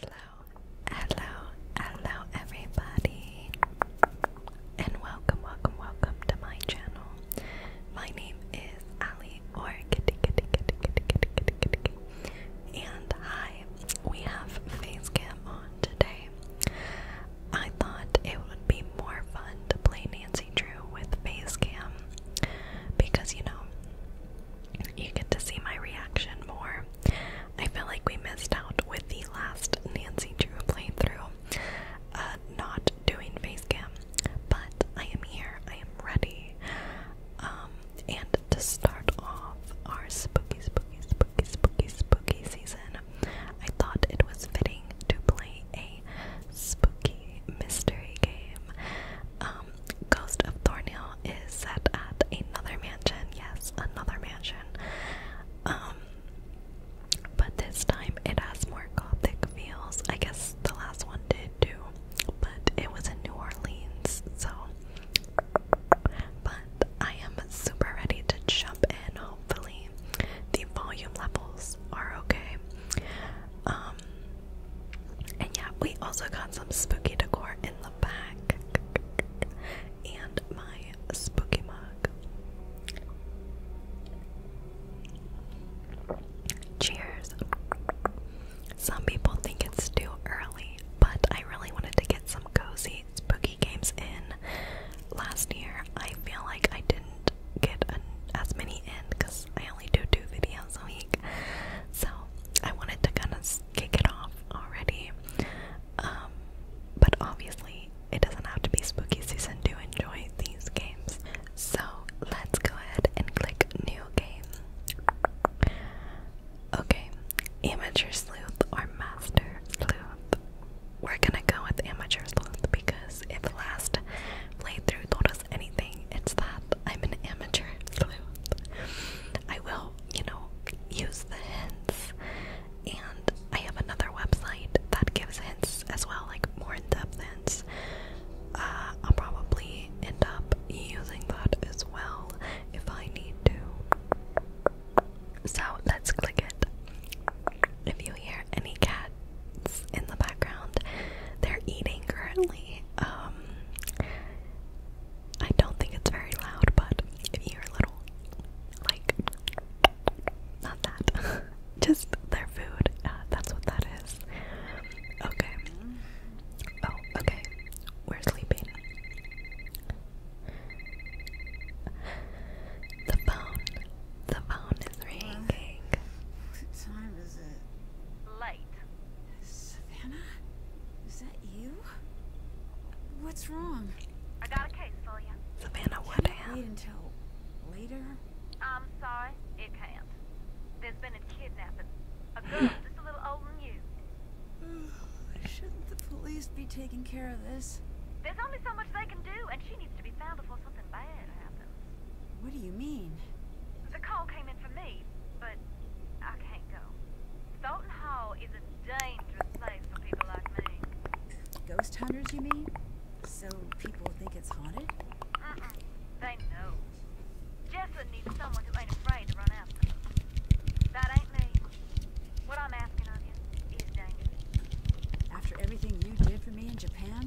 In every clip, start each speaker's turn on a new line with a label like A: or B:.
A: Hello, hello, hello, everybody, and welcome, welcome, welcome to my channel. My name is Ali or Kitty Kitty Kitty Kitty Kitty Kitty Kitty, and hi. We have face on today. I thought it would be more fun to play Nancy Drew with face because you know you get to see my reaction more. I feel like we missed out with the last Nancy Drew playthrough, uh, not doing facecam, but I am here, I am ready. Um, and to start off our spooky, spooky, spooky, spooky, spooky season, I thought it was fitting to play a spooky mystery game. Um, Ghost of Thornhill is set at another mansion. Yes, another mansion. Um, but this time it has more gothic feels. I guess the last one did too, but it was in New Orleans, so. But I am super ready to jump in. Hopefully, the volume levels are okay. Um, and yeah, we also got some spooky decor in back, and my spooky mug. Cheers. Some people think it's too early, but I really wanted to get some cozy spooky games in. Last year, I feel like I didn't get as many in because I only do two videos a week. So I wanted to kind of kick it off already. Um, but obviously, it doesn't have to be spooky season to enjoy these games. So let's go ahead and click New Game. Okay, Amateur Sleuth or Master Sleuth. We're gonna go with Amateur Sleuth because if last playthrough told us anything, it's that I'm an amateur sleuth. I will you know, use the hints. And I have another website that gives hints as well, like more in depth hints. Uh, I'll probably end up using that as well if I need to. So let's click it. If you hear any cats in the background, they're eating currently. Um, I don't think it's very loud, but if you are little, like, not
B: that, just their food, uh, that's what that is. Okay. Oh, okay. We're sleeping. The phone. The phone is ringing. What time is it? Late. Savannah? Is that you? What's wrong? I got a case for you. Savannah, what happened? Wait until later.
C: I'm sorry, it can't. There's been a kidnapping. A girl just a little older than you.
B: Shouldn't the police be taking care of this?
C: There's only so much they can do, and she needs to be found before something bad happens.
B: What do you mean?
C: The call came in for me, but I can't go. Thornton Hall is a Dangerous place for people like
B: me. Ghost hunters, you mean? So people think it's haunted? Mm -mm, they
C: know. Jessup needs someone who ain't afraid to run after them. That ain't me. What I'm asking of you is
B: dangerous. After everything you did for me in Japan,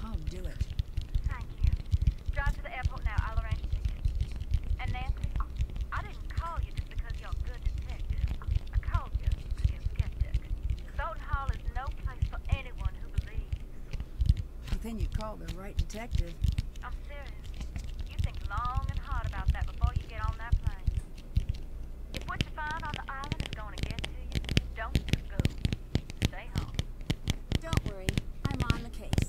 B: come do it. Thank
C: you. Drive to the airport now. I'll arrange tickets. And Nancy, I didn't call you just because you're a good detective. I called you to be a skeptic. Soden Hall is no place for anyone who believes.
B: But then you called the right detective.
C: I'm serious. You think long and hard about that before you get on that plane. If what you find on the island is going to get to you, don't go. Stay home.
A: Don't worry. I'm on the case.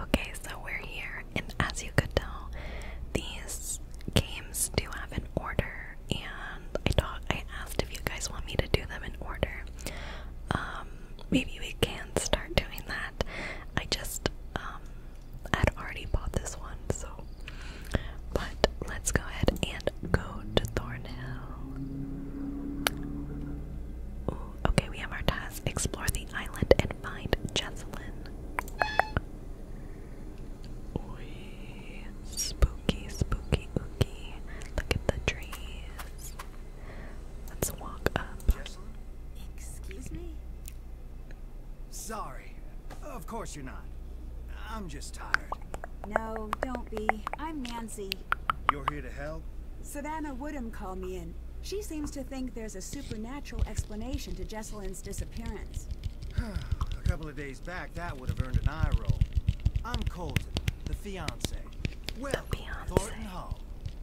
A: Okay, so we're here, and as you could tell, these games do have an order, and I thought I asked if you guys want me to do them in order. Um, maybe we can start doing that. I just um, i already bought this one, so. But let's go ahead and go to Thornhill. okay, we have our task. Explore the island and find Jessalyn. Oy, spooky, spooky, ooky.
D: Look at the trees. Let's walk up. Excuse me? Sorry. Of course you're not. I'm just tired. No, don't be. I'm Nancy. You're here to help?
B: Savannah Woodham called me in. She seems to think there's a supernatural explanation to Jesselyn's disappearance. a
D: couple of days back, that would have earned an eye roll. I'm Colton, the fiance. Well, Thornton Hall.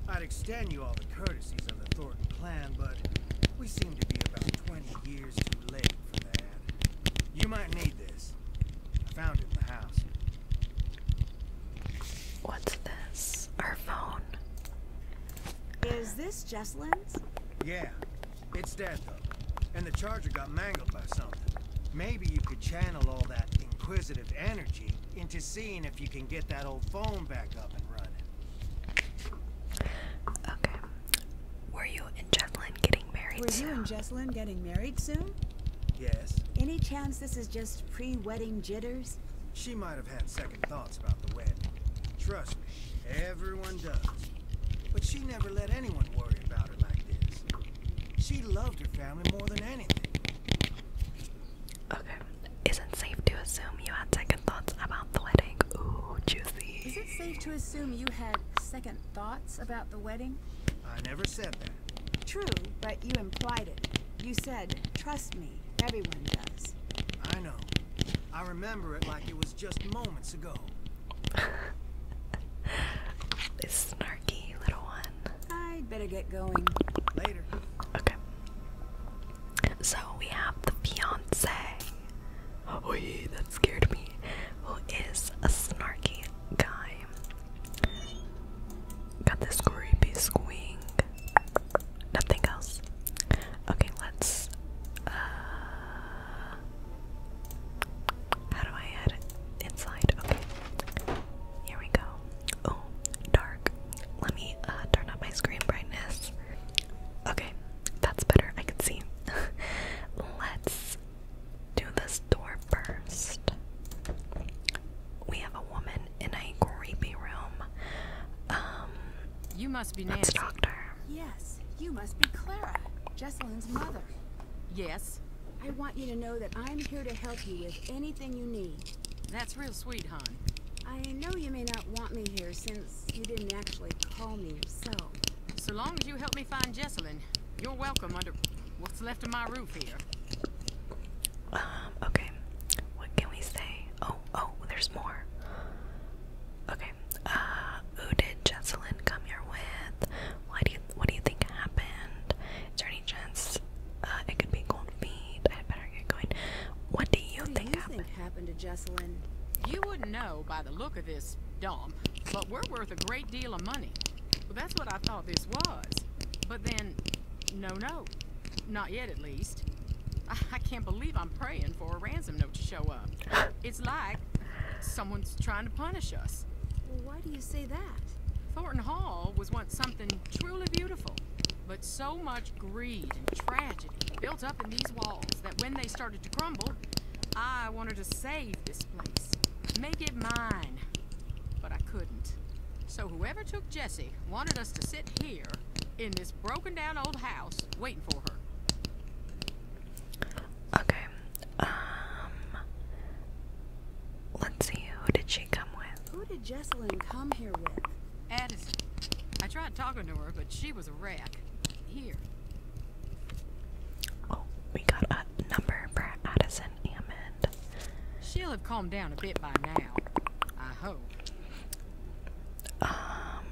D: I'd extend you all the courtesies of the Thornton clan, but we seem to be about 20 years too late for that. You might need this. I found it in the house. What's this? Our phone.
A: Is this Jesselyn's?
D: Yeah, it's dead though, and the charger got mangled by something. Maybe you could channel all that inquisitive energy into seeing if you can get that old phone back up and running. Okay.
B: Were you in were you and Jessalyn getting married soon?
D: Yes. Any chance this is just pre-wedding jitters? She might have had second thoughts about the wedding. Trust me, everyone does. But she never let anyone worry about her like this. She loved her family more than anything. Okay. Is it safe to assume you had second thoughts about the wedding?
B: Ooh, juicy. Is it safe to assume you had second thoughts about the wedding?
D: I never said that.
B: True, but you implied it. You said, trust me,
D: everyone does. I know. I remember it like it was just moments ago. this snarky little one.
A: i better get going. Later. Okay. So we have the fiance. Oh, that scared me. Who is a snarky guy got this creepy squeak. Nothing else. Okay, let's. Uh, how do I add inside? Okay, here we go. Oh, dark. Let me uh, turn up my screen brightness. Okay, that's better. I can see. let's do this door burst? We have a woman in a creepy room. Um,
E: you must be Nancy.
A: Yes, you must be Clara, Jesselyn's mother.
E: Yes.
B: I want you to know that I'm here to help you with anything you need.
E: That's real sweet, hon. I know you may not want me here since you didn't actually call me yourself. So long as you help me find Jesselyn, you're welcome under what's left of my roof here. Um, okay. What can we say? Oh, oh, there's more.
A: Okay. Uh, who did Jessalyn come here with? Why do you, what do you think happened? Is there any chance uh, it could be cold feet? I better
E: get going. What do you, what think, do you happened? think happened to Jessalyn? You wouldn't know by the look of this dome, but we're worth a great deal of money. Well, that's what I thought this was. But then, no, no. Not yet, at least. I, can't believe I'm praying for a ransom note to show up. It's like someone's trying to punish us. why do you say that? Thornton Hall was once something truly beautiful, but so much greed and tragedy built up in these walls that when they started to crumble, I wanted to save this place. Make it mine. But I couldn't. So whoever took Jessie wanted us to sit here, in this broken down old house, waiting for her.
A: Okay. Um... Let's see, who did she come with?
E: Who did Jesselyn come here with? Addison. I tried talking to her, but she was a wreck. Here. Oh, we got a number for Addison. She'll have calmed down a bit by now. I hope. Um,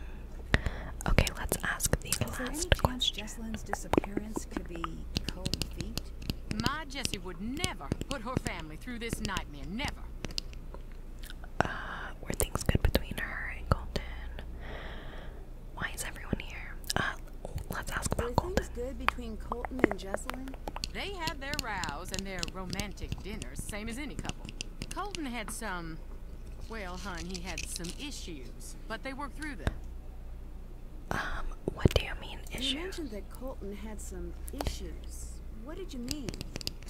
E: okay, let's ask the last question. My Jessie would never put her family through this nightmare. Never. Uh, things good
A: between her and Colton? Why is everyone here? Uh,
E: oh, let good between Colton and Jesselyn? They had their rows and their romantic dinners, same as any couple. Colton had some, well, hun, he had some issues, but they worked through them. Um, what do you mean issues? You mentioned that Colton had some issues. What did you mean?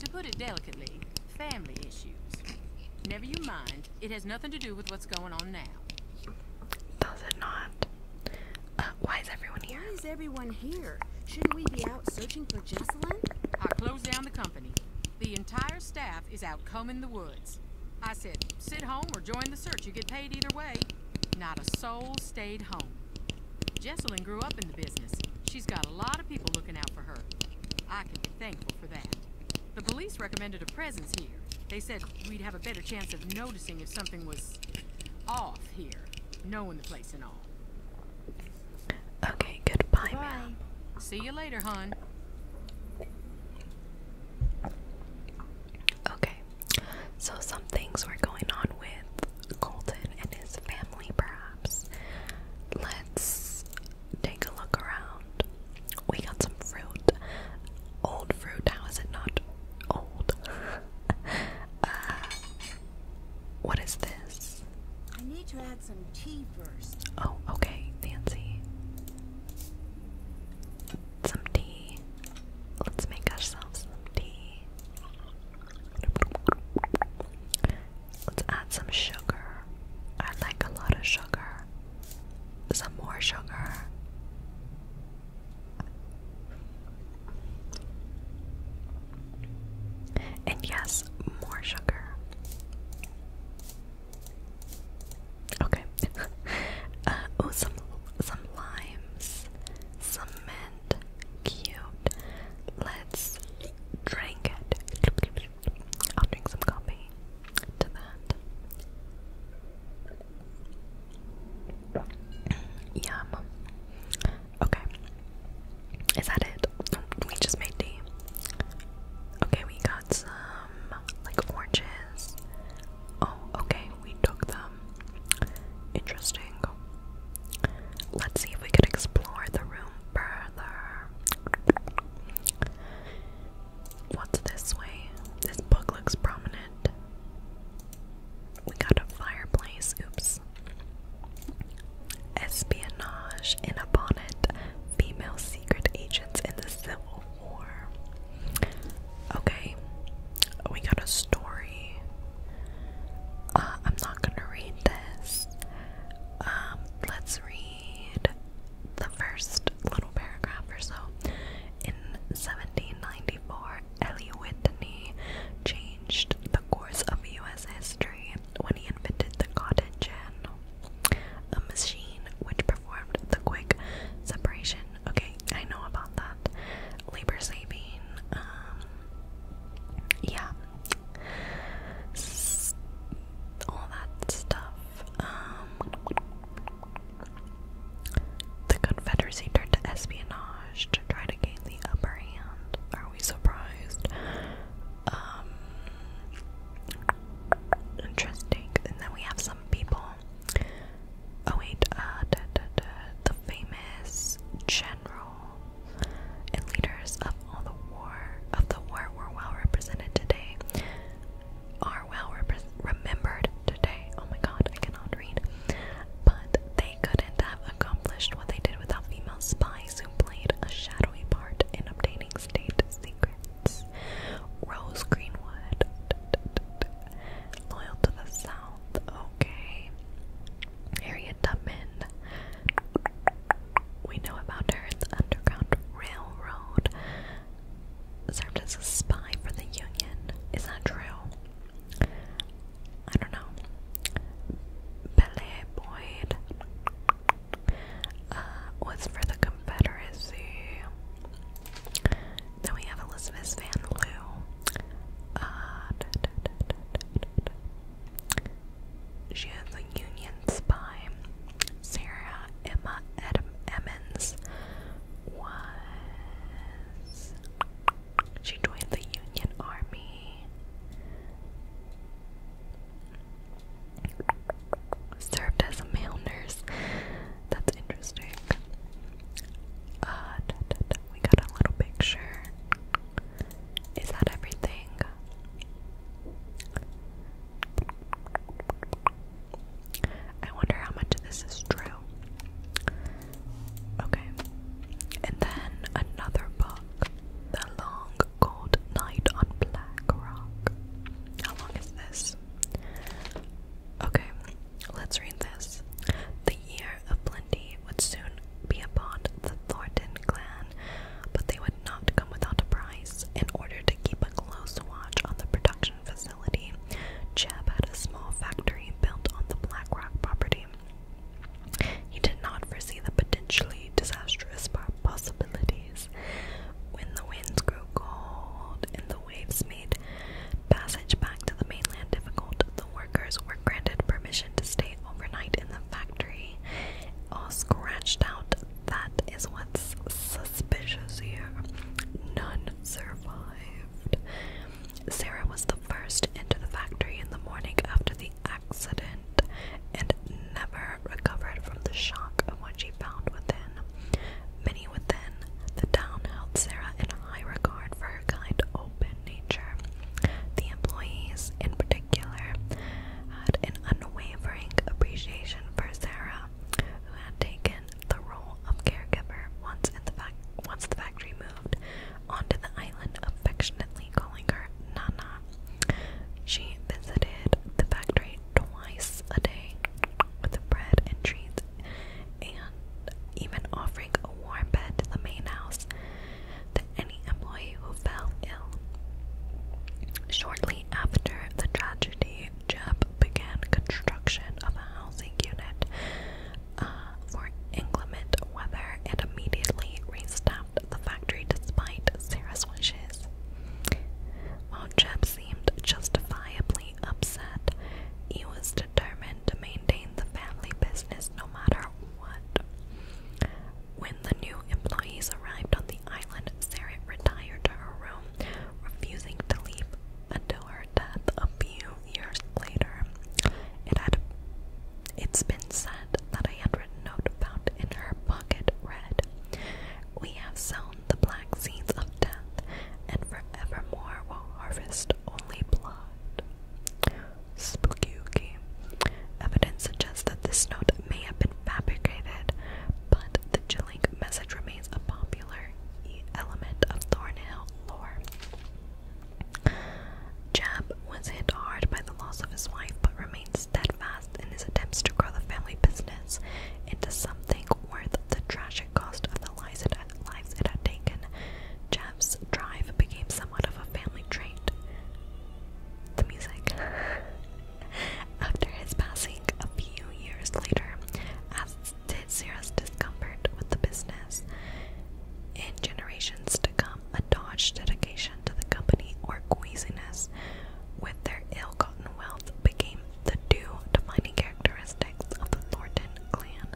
E: To put it delicately, family issues. Never you mind. It has nothing to do with what's going on now. Does it not? Uh,
A: why is everyone here?
E: everyone here? Shouldn't we be out searching for Jocelyn? I closed down the company. The entire staff is out combing the woods. I said, sit home or join the search. You get paid either way. Not a soul stayed home. Jesselyn grew up in the business. She's got a lot of people looking out for her. I can be thankful for that. The police recommended a presence here. They said we'd have a better chance of noticing if something was off here, knowing the place and all. Okay, goodbye, Bye. See you later, hon.
A: Okay, so some things were going on with Colton and his family, perhaps. Let's take a look around. We got some fruit. Old fruit, how is it not old? Uh, what is this? I need to add some tea first. Oh, okay, Nancy. Some tea. Let's make ourselves some tea. Let's add some sugar. I like a lot of sugar. Some more sugar. And yes, more sugar. Okay. oh, some some limes, some mint. Cute. Let's drink it. I'll drink some coffee to that. Yum. Okay. Is that it? We just made D. Okay, we got some like oranges. Oh, okay, we took them. Interesting. Let's see if we could explore the room further. What's this way? This book looks prominent. We got a fireplace. Oops. Espionage, and upon it, female secret agents in the Civil War. Okay, we got a story. Uh, I'm not gonna read this. Um, let's read the first little paragraph or so. In 1794, Ellie Whitney changed the course of U.S. history when he invented the cotton gin, a machine which performed the quick separation. Okay, I know about that. Labor saving. Um, yeah, all that stuff. Um, the Confederacy turned to espionage to try to gain the upper hand. Are we surprised? Um, interesting. And then we have some people. Oh wait, uh, the famous general and leaders of all the war of the war were well represented today. Are well remembered Oh my god, I cannot read. But they couldn't have accomplished what they did without female spies who played a shadowy part in obtaining state secrets. Rose Greenwood, loyal to the South, okay. Harriet Tubman, we know about her the Underground Railroad. Served as a spy for the Union. Is that true? I don't know. Belle Boyd uh, was for the Confederacy. Then we have Elizabeth Van Loo. Uh, she is a Union spy. Sarah Emma Ed was she joined the Union Army. Served as a male nurse. That's interesting. Uh, we got a little picture. Is that everything? I wonder how much of this is true. Okay. And then another book, The Long Cold Night on Black How long is this? Okay, let's read this. The year of plenty would soon be upon the Thornton clan, but they would not come without a price. In order to keep a close watch on the production facility, had a small factory built on the Black Rock property. He did not foresee the potentially disastrous possibilities. When the winds grew cold and the waves made passage back to the mainland difficult, the workers were granted permission to stay overnight in the factory. All scratched out. That is what's suspicious here. None survived. Sarah was the the first into the factory in the morning after the accident and never recovered from the shock of what she found within. Many within the town held Sarah in high regard for her kind, open nature. The employees, in particular, had an unwavering appreciation for Sarah, who had taken the role of caregiver once, the factory moved onto the island, affectionately calling her Nana. She visited the factory twice a day with bread and treats and even offering a warm bed to the main house to any employee who fell ill. Shortly after the tragedy, Jeb began construction of a housing unit for uh, inclement weather and immediately restaffed the factory despite Sarah's wishes. While Jeb seemed justifiably upset, he was determined to maintain the family business no matter what. When the new employees arrived on the island, Sarah retired to her room, refusing to leave until her death a few years later. It had it's been said that a handwritten note found in her pocket read, We have sown the black seeds of death, and forevermore will harvest only blood. Spooky Evidence suggests that this note may have been fabricated, but the chilling message remains a popular element of Thornhill lore. Jeff was hit hard by the loss of his wife, but remained steadfast in his attempts to grow the family business into something worth the tragic cost of the lives it had, taken. Jeff's drive became somewhat of a family trait. The music. After his passing a few years later, as Sarah's discomfort with the business. In generations to come, a Dodge dedication to the company or queasiness with their ill gotten wealth became the two defining characteristics of the Thornton clan.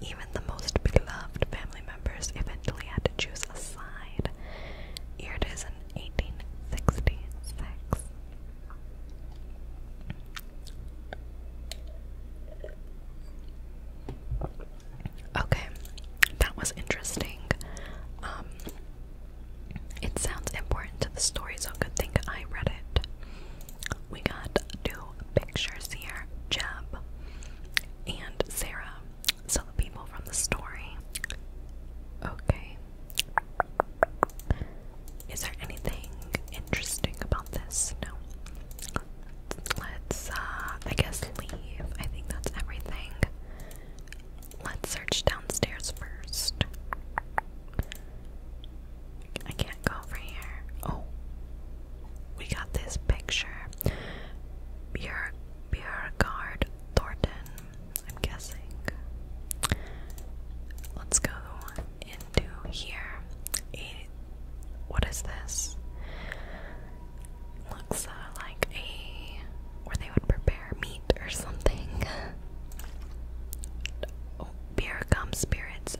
A: Even the most beloved family members eventually had to choose a side. Here it is in 1866. Okay, that was interesting. Um, it sounds important to the story, so good thing I read it. We got two pictures here Jeb and Sarah. So the people from the story. Okay. Is there anything interesting about this? No let's, uh, I guess leave. I think that's everything. Let's search downstairs first. I can't go over here. Oh, we got this picture. Beer, beer guard Thornton. I'm guessing. Let's go into here. A, what is this? Looks uh, like a where they would prepare meat or something. oh, beer gum spirits,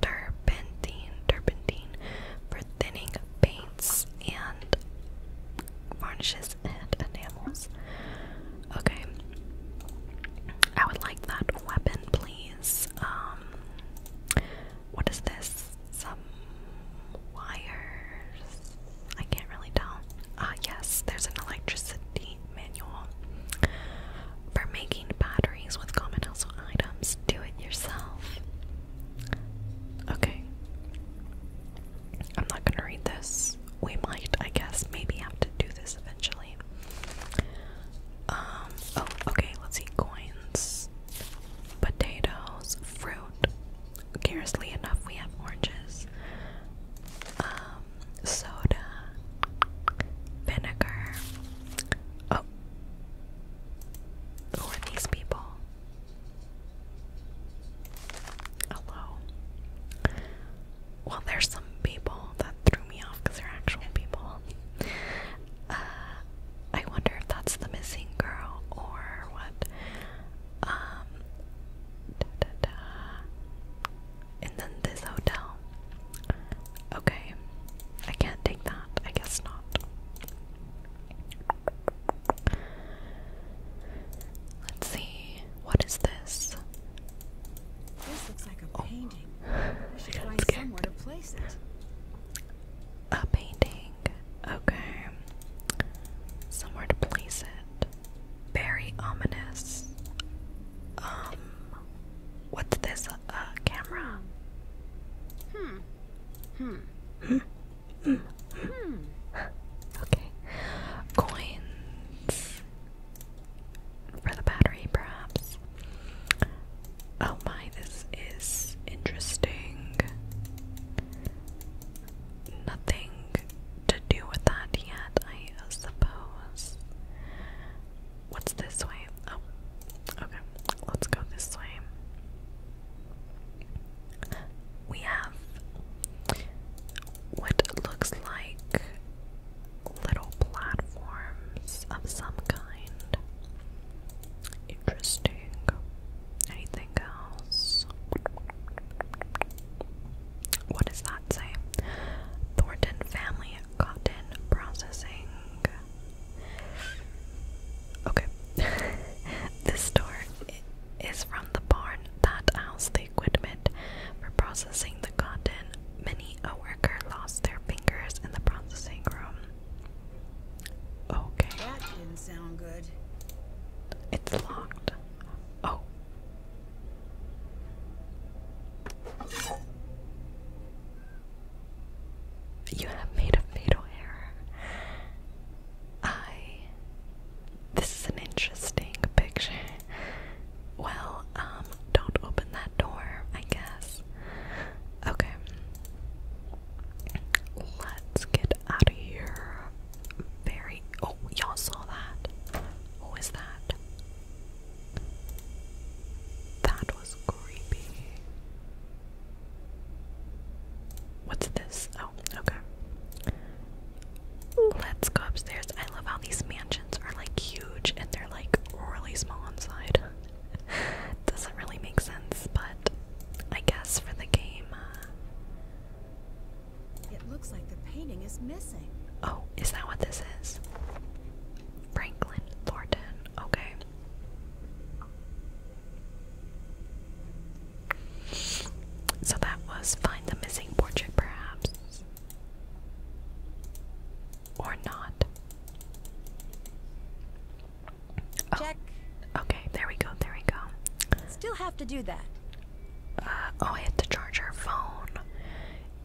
A: turpentine, turpentine for thinning paints and varnishes and enamels. Okay. I would like that weapon, please. Um, what is this? Some wires. I can't really tell. Ah, yes, there's an electricity manual for making batteries with common household items. Do it yourself. Okay. I'm not gonna read this. We might, I guess, maybe have to do this eventually. Um, oh, okay, let's see. Coins, potatoes, fruit. Curiously enough, we have oranges, um, soda, vinegar. Oh, who are these people? Hello. Well, there's some people that threw me off because they're actual people. Uh, I wonder if that's the missing girl or what. Um, and then this hotel. Okay, I can't take that. I guess not. Let's see. What is this? This
B: looks like a oh. painting. We should find somewhere to place it. A painting.
A: Okay. Somewhere to place it. Very ominous. Um. What's this? A uh, camera? Hmm. Hmm. Hmm. Hmm. hmm. okay. Coins. For the battery, perhaps. Oh my, this is interesting. Nothing to do with that yet, I suppose. What's this way? Oh, okay. Let's go this way. We have what looks like little platforms of some kind. Interesting. Anything else? What does that say? Thornton Family Cotton Processing. Okay. this store is from the barn that housed the equipment for processing the cotton. Many a worker lost their fingers in the processing room.
B: Okay. That didn't sound good. It's locked. Oh.
A: You have made a fatal error. I. This is an interesting picture. Well, um, don't open that door, I guess. Okay. Let's get out of here. Very. Oh, y'all saw that. What was that? That was creepy. What's this? Oh, okay. Let's go upstairs. I love how these mansions are like huge and they're like really small inside. Doesn't really make sense, but I guess for the game. Uh, it looks like the painting is missing. Oh, is that what this is? Franklin Thornton. Okay. So that was find the missing portrait, perhaps. Or not. Oh, okay, there we go, there we go. Still have to do that. Uh, oh, I had to charge our phone.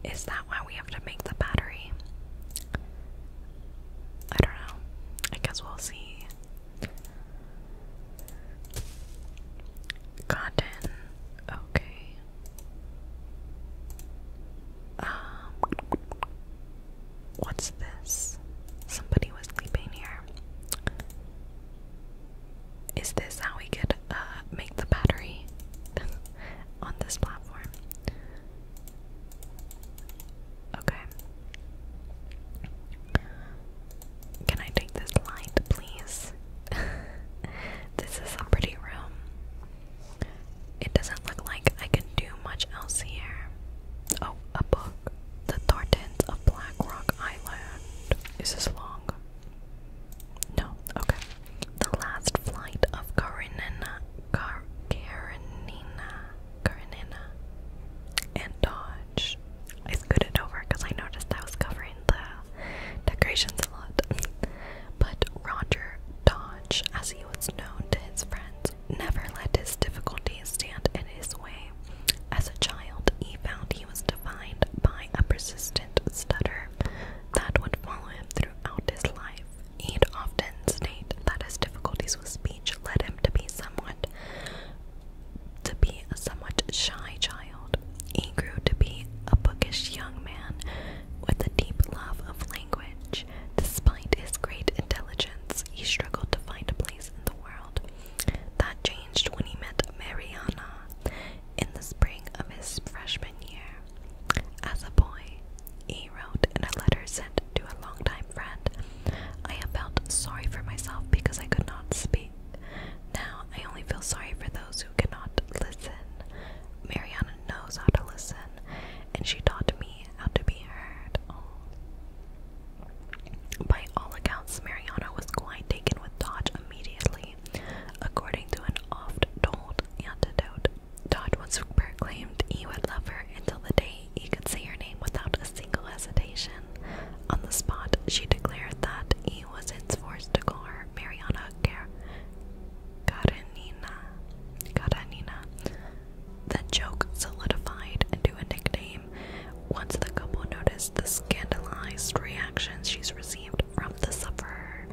A: Is that why we have to make the battery? I don't know. I guess we'll see. Cotton. Okay. Um. What's this? Somebody was sleeping here. Is this how we could uh, make the battery on this platform? Okay. Can I take this light, please? this is a pretty room. It doesn't look like I can do much else here. Oh, a book. The Thorntons of Black Rock Island. Is this long? No, okay. The Last Flight of Karenina, Kar Karenina, Karenina, and Dodge. I scooted over because I noticed I was covering the decorations a lot. but Roger Dodge, as he was known to his friends, never let his difficulties stand in his way. As a child, he found he was defined by a persistent stutter that would follow him throughout his life. He'd often state that his difficulties with speech led him to be somewhat to be a somewhat shy child. He grew to be a bookish young man with a deep love of language. Despite his great intelligence, he struggled to find a place in the world. That changed when he met Mariana in the spring of his freshman year. As a boy, he wrote in a letter sent to a longtime friend, I have felt sorry for myself because I could not speak. Now I only feel sorry for those who cannot listen. Mariana knows how to listen, and she taught me and to be heard. Um, by all accounts, Mariana was quite taken with Dodge immediately. According to an oft-told anecdote, Dodge once proclaimed he would love her until the day he could say her name without a single hesitation. On the spot, she declared that he was forced to call her Mariana Karenina. Karenina, the joke solidified into a nickname once the couple noticed the scandalized reactions she's received from the supper,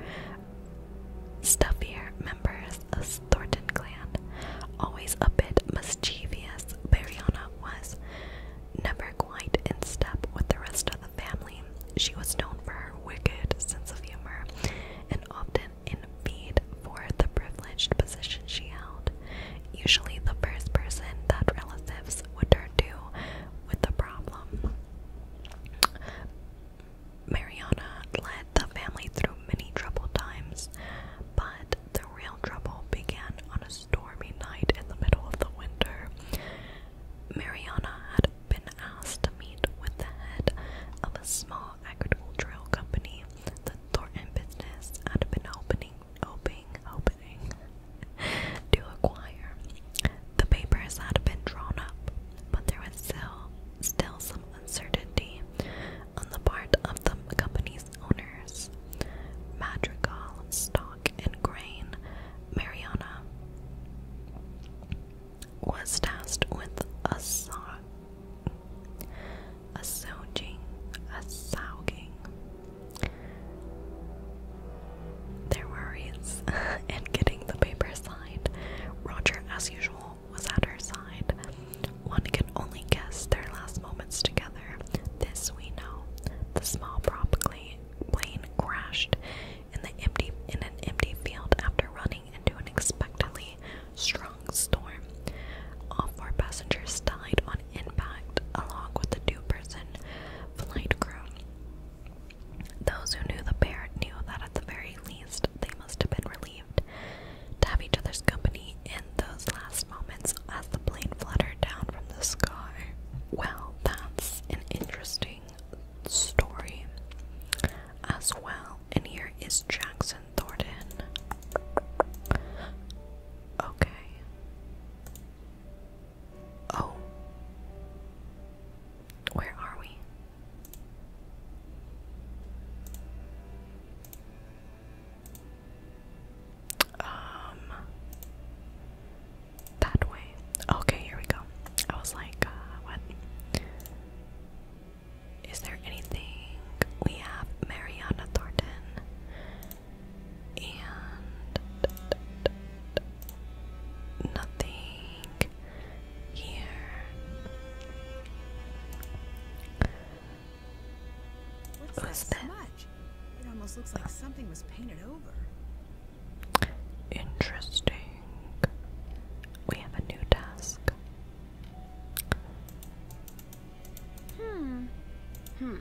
A: Stuffier members of Thornton clan, always a bit mischievous, Bariana was never quite in step with the rest of the family. She was known for her wicked sense of humor and often woman envied for the privileged position she held, usually the first person that relatives would turn to with the problem. Mariana led the family through many troubled times, but the real trouble began on a stormy night in the middle of the winter. Mariana had been asked to meet with the head of a small agricultural company, the Thornton business had been opening, opening, opening to acquire. The papers had been drawn up, but there was still, still some uncertainty on the part of the company's owners. Madrigal, Stock, and Grain, Mariana was tasked with a song a souging, Their worries and getting the paper signed. Roger, as usual, was at her side. One can only guess their last moments together. This we know. The small prop plane crashed in an empty field after running into an expectantly strong storm. All four passengers died on impact, along with the two person flight crew. Those who knew the pair knew that at the very least they must have been relieved to have each other's company in those last moments as the plane fluttered down from the sky. Well, that's an interesting story as well and here is Jackson Thornton. Okay. Oh. Where are we? Um that way. Okay,
B: here we go. I was like, uh, what? Is there anything? We have Mariana Thornton and nothing here. What's Who's It almost looks like something was painted
A: over. Interesting. We have a new task. Hmm. Hmm.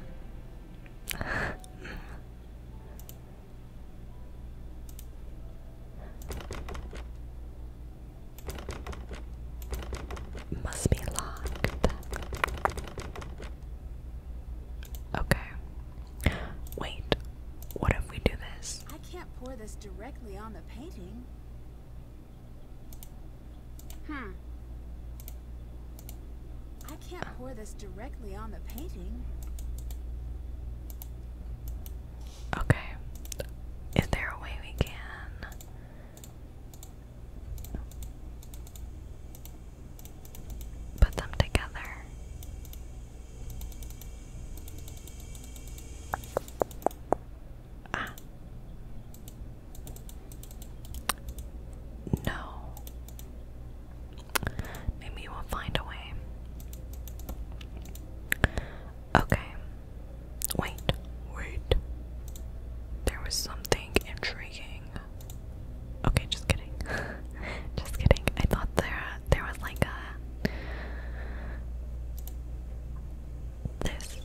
B: Must be locked. Okay. Wait. What if we do this? I can't pour this directly on the painting. Hmm. I can't pour this directly on the painting. Okay. Is there a way we can? Put them together. Ah.
A: No. Maybe we'll find a way. Okay. Wait, wait. There was something intriguing. Okay, just kidding. just kidding. I thought there there was like a this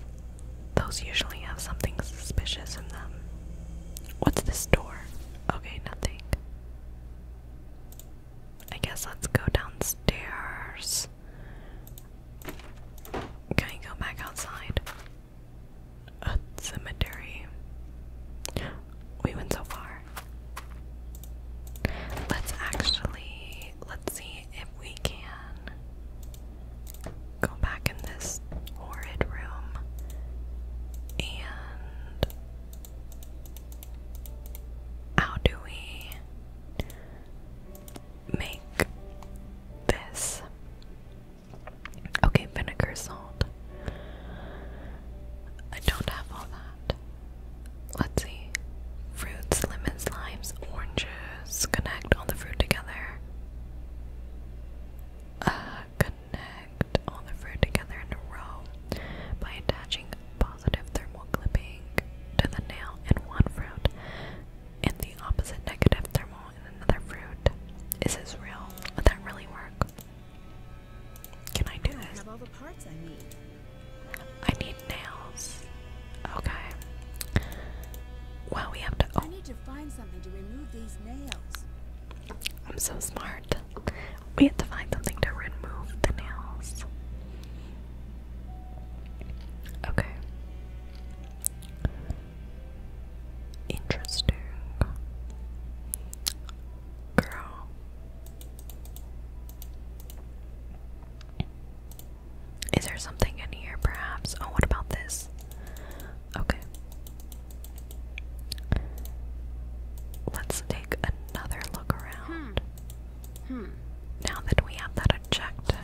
A: those usually have something suspicious in them. What's this door? Okay, nothing. I guess let's go downstairs. Can I go back outside? A cemetery. We went so far. Let's actually let's see if we can go back in this horrid room and how do we make this? Okay, vinegar salt. I don't have all that. Let's see. Fruits, lemons, limes, oranges. Connect all the fruit together uh, connect all the fruit together in a row by attaching positive thermal clipping to the nail in one fruit
B: and the opposite negative thermal in another fruit. Is this real? Would that really work? Can I do this? I, have all the parts I, need. I need nails.
A: Okay.
B: Well, we have to. Oh. I
A: I'm so smart. We have to find something to remove the nails. Okay. Interesting. Girl. Is there something in here, perhaps? Oh, what about this? Okay. Let's take another look around. Hmm. Hmm. Now that we have that objective.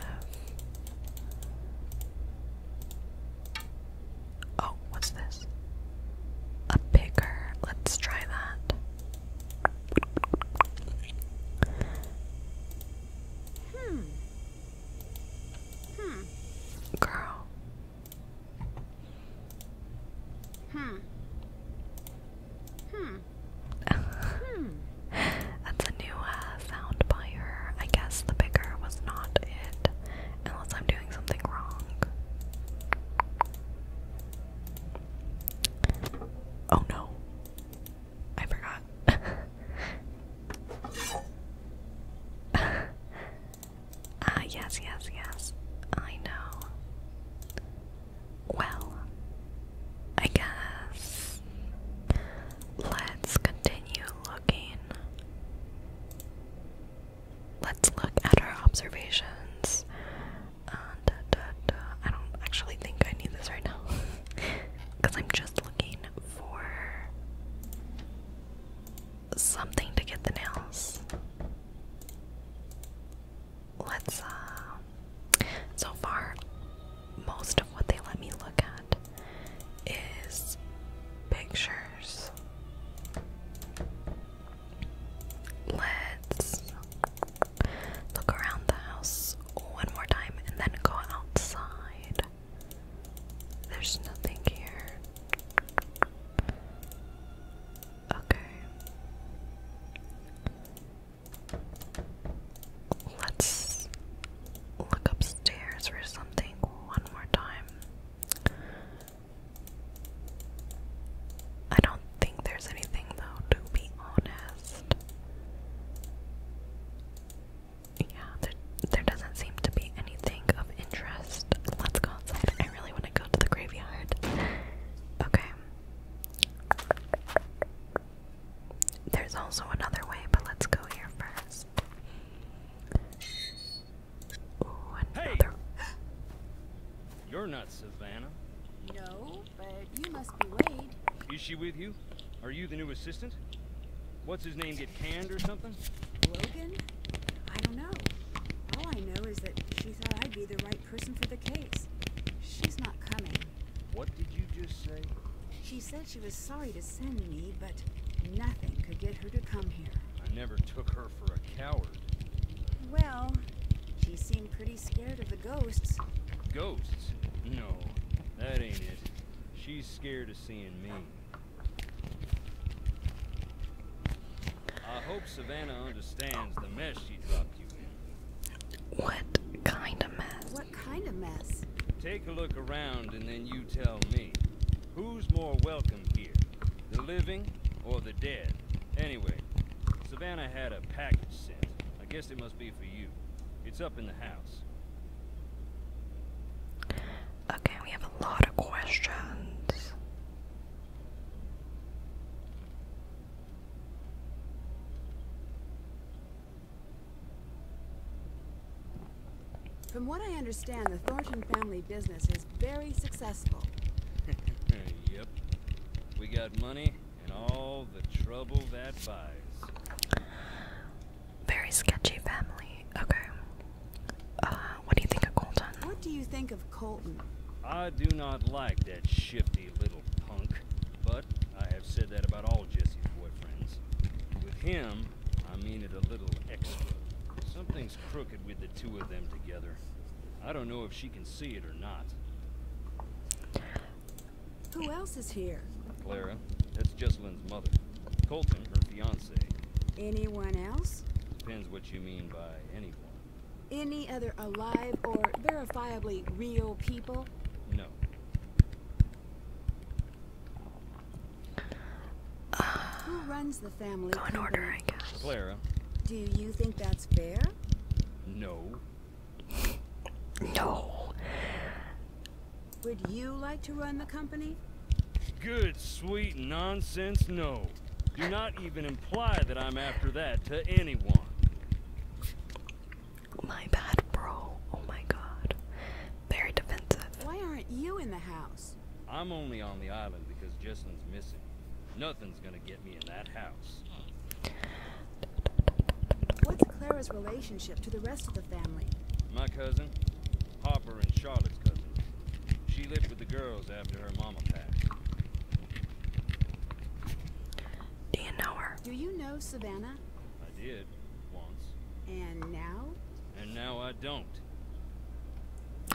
A: Oh, what's this? A picker. Let's try that. Hmm.
D: Hmm. Girl. Hmm.
A: Hmm. hmm. That's a new uh, sound by her. I guess the bigger was not it, unless I'm doing something wrong. Oh no. I forgot. Ah, yes, yes, yes. I know. Well, I guess let's continue looking. Let's look at our observations. Uh, I don't actually think I need this right now because I'm just looking for something to get the nails. Let's, uh, so far, most of what they let me look at is pictures. Let's look around the house one more time and then go outside. There's nothing here. Okay. Let's look upstairs for something one more time. I don't think there's anything though, to be honest yeah, there, doesn't seem to be anything of interest. Let's go outside. I really want to go to the graveyard. Okay. There's also another way, but let's go here first. Hey.
F: You're not Savannah.
B: No, but you must be Wade. Is she with you? Are you the new assistant? What's his name get canned or something? Logan? I don't know. All I know is that she thought I'd be the right person for the case. She's not coming. What did you just say? She said she was sorry to send me, but nothing could get her to come here.
F: I never took her for a coward.
B: Well, she seemed pretty scared of the ghosts.
F: Ghosts? No, that ain't it. She's scared I hope Savannah understands the mess she dropped you in. What
B: kind of mess? What kind of mess?
F: Take a look around and then you tell me. Who's more welcome here? The living or the dead? Anyway, Savannah had a package sent. I guess it must be for you. It's up in the house.
A: Okay, we have a lot of questions.
B: From what I understand, the Thornton family business is very successful.
F: yep. We got money and all the trouble that buys.
A: Very sketchy family. Okay.
B: Uh, what do you think of Colton? What do you think of Colton?
F: I do not like that shifty little punk, but I have said that about all Jesse's boyfriends. With him, I mean it a little extra. Something's crooked with the two of them together. I don't know if she can see it or not.
B: Who else is here?
F: Clara. That's just mother. Colton, her fiance.
B: Anyone else?
F: Depends what you mean by anyone.
B: Any other alive or verifiably real people? No. Who runs the family? in order, I guess. Clara. Do you think that's fair?
F: No.
B: no. Would you like to run the company?
F: Good, sweet nonsense, no. Do not even imply that I'm after that to anyone.
A: My bad, bro. Oh my god. Very defensive. Why aren't you in the house?
F: I'm only on the island because Jessam's missing. Nothing's gonna get me in that house.
B: What's Clara's relationship to the rest of the family?
F: My cousin. Harper and Charlotte's cousin. She lived with the girls after her mama passed.
A: Do you know Do you
B: know Savannah?
F: I did, once.
B: And now?
F: And now I don't.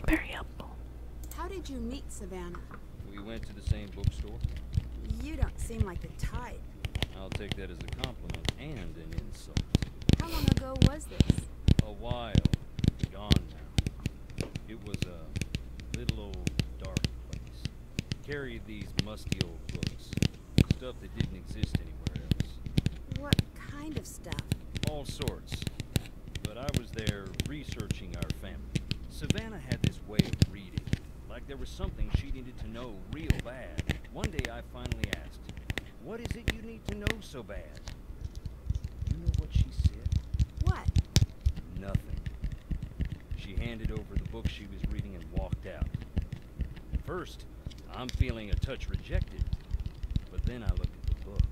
B: Very helpful. How did you meet Savannah?
F: We went to the same bookstore.
B: You don't seem like the type.
F: I'll take that as a compliment and an insult.
B: How long ago was this?
F: A while. Gone now. It was a little old dark place. Carried these musty old books. Stuff that didn't exist anywhere else.
B: What kind of stuff?
F: All sorts. But I was there researching our family. Savannah had this way of reading. Like there was something she needed to know real bad. One day I finally asked, what is it you need to know so bad? You know what she said? What? Nothing. She handed over the book she was reading and walked out. first, I'm feeling a touch rejected, but then I looked at the book.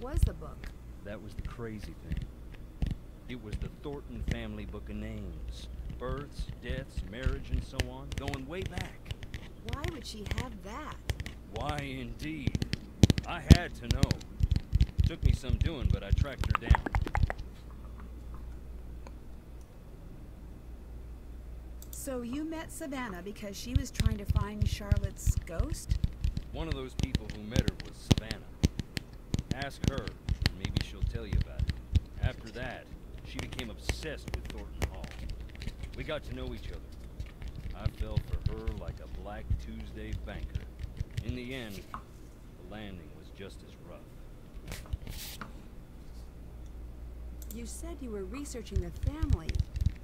B: What was the book?
F: That was the crazy thing. It was the Thornton family book of names. Births, deaths, marriage, and so on, going way back.
B: Why would she have that?
F: Why indeed? I had to know. Took me some doing, but I tracked her down.
B: So you met Savannah because she was trying to find Charlotte's ghost?
F: One of those people who met her was Savannah. Ask her, maybe she'll tell you about it. After that, she became obsessed with Thornton Hall. We got to know each other. I fell for her like a Black Tuesday banker. In the end, the landing was just as rough.
B: You said you were researching the family.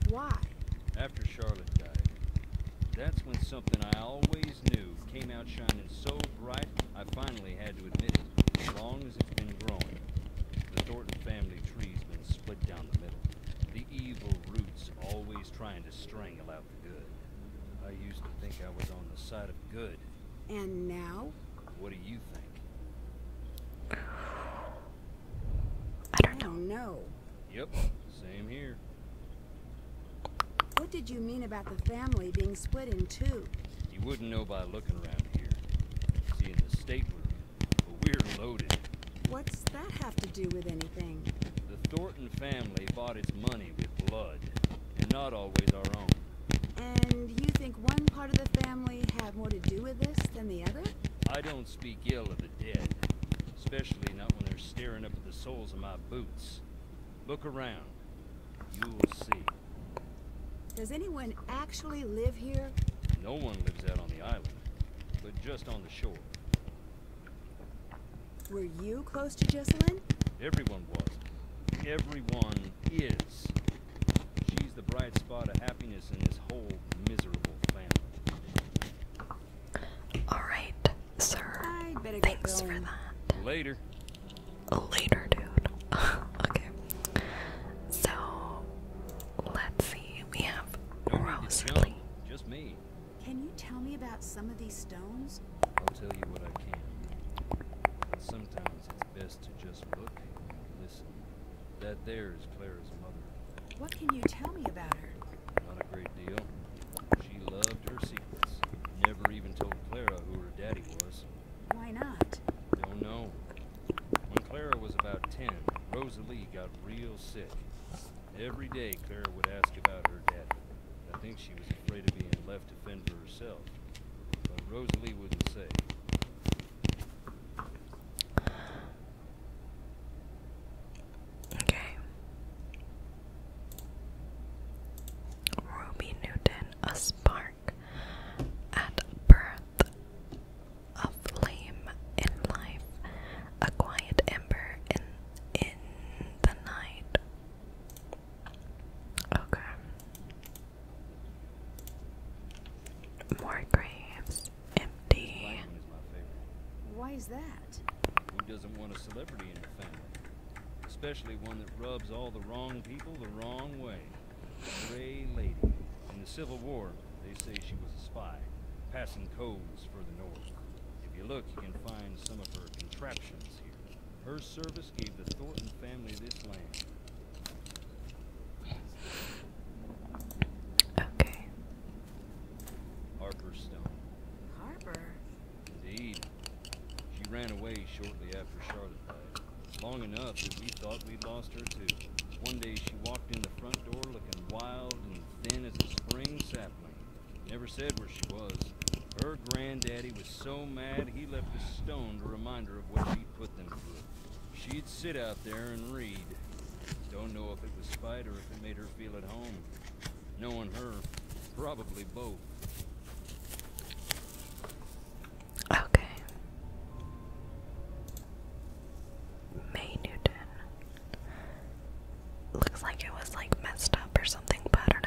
B: Why?
F: After Charlotte died, that's when something I always knew came out shining so bright I finally had to admit it. Long it's been growing, the Thornton family tree's been split down the middle. The evil roots always trying to strangle out the good. I used to think I was on the side of good. And now? What do you think?
B: I don't know.
F: Yep, same here.
B: What did you mean about the family being split in two?
F: You wouldn't know by looking around here. See, in the state room, but we're loaded.
B: What's that have to do with anything?
F: The Thornton family bought its money with blood, and not always our own.
B: And you think one part of the family had more to do with this than the other?
F: I don't speak ill of the dead, especially not when they're staring up at the soles of my boots. Look around. You'll see.
B: Does anyone actually live here?
F: No one lives out on the island, but just on the shore.
B: Were you close to Jessalyn?
F: Everyone was. Everyone is. She's the bright spot of happiness in this whole miserable family.
A: Alright, sir. Thanks for that. Later. Later, dude. okay. So let's see. We have
F: Rosalie.
B: Can you tell me about some of these stones?
F: I'll tell you what I can. sometimes it's best to just look and listen. That there is Clara's mother.
B: What can you tell me about her?
F: Not a great deal. She loved her secrets. Never even told Clara who her daddy was. Why not? Don't know. When Clara was about 10, Rosalie got real sick. Every day, Clara would ask about her daddy. I think she was afraid of being left to fend for herself. But Rosalie wouldn't say.
A: Okay. Ruby Newton, a spark at birth a flame in life, a quiet ember in in
F: the night. Okay. More graves, empty.
A: Why is that?
F: Who doesn't want a celebrity in your family? Especially one that rubs all the wrong people the wrong way. Gray Lady. In the Civil War, they say she was a spy, passing codes for the North. If you look, you can find some of her contraptions here. Her service gave the Thornton family this land. Okay. Harper Stone. Harper? Indeed. She ran away shortly after Charlotte died. Long enough that we thought we'd lost her too. One day she walked in the front door looking wild and thin as a spring sapling. Never said where she was. Her granddaddy was so mad he left a stone to remind her of what she'd put them through. She'd sit out there and read. Don't know if it was spite or if it made her feel at home. Knowing her, probably both. Okay.
A: May Newton. Looks like it was like messed up or something, but I don't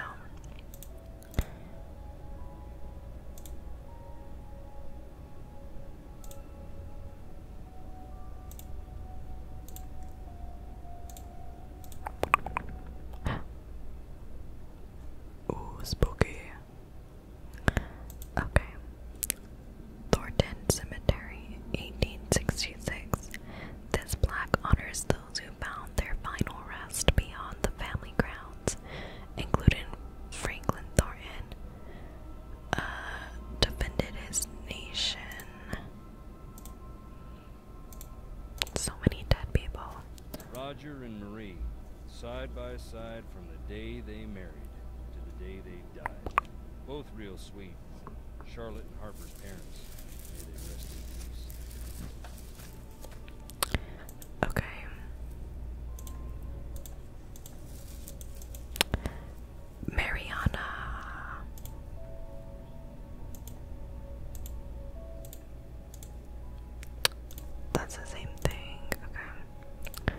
A: know. Ooh, spooky. Okay. Thornton Cemetery, 1866. This plaque honors those who found their final rest beyond the family grounds, including Franklin Thornton, uh, defended his nation. So many dead people.
F: Roger and Marie, side by side from the day they married to the day they both real sweet. Charlotte and Harper's parents. May they rest in peace. Okay.
A: Mariana. That's the same thing. Okay.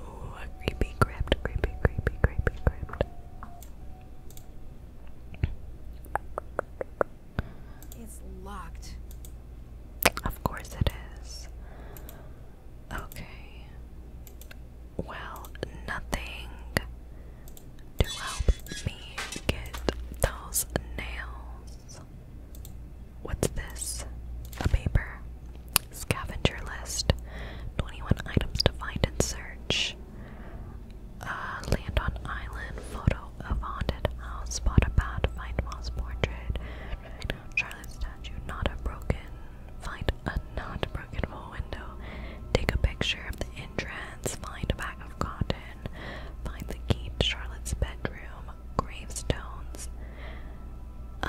A: Ooh, creepy crypt, creepy, creepy, creepy crypt. It's locked. Of course it is. Okay. Well, nothing to help me get those nails. What's this? A paper. Scavenger list. 21 items to find and search. land on island. Photo of haunted house. Spot a bat. Find moss portrait. Charlotte statue. Not a broken. Find a not broken full window. Take a picture of the entrance. Find a bag of cotton. Find the key to Charlotte's bedroom. Gravestones. Uh,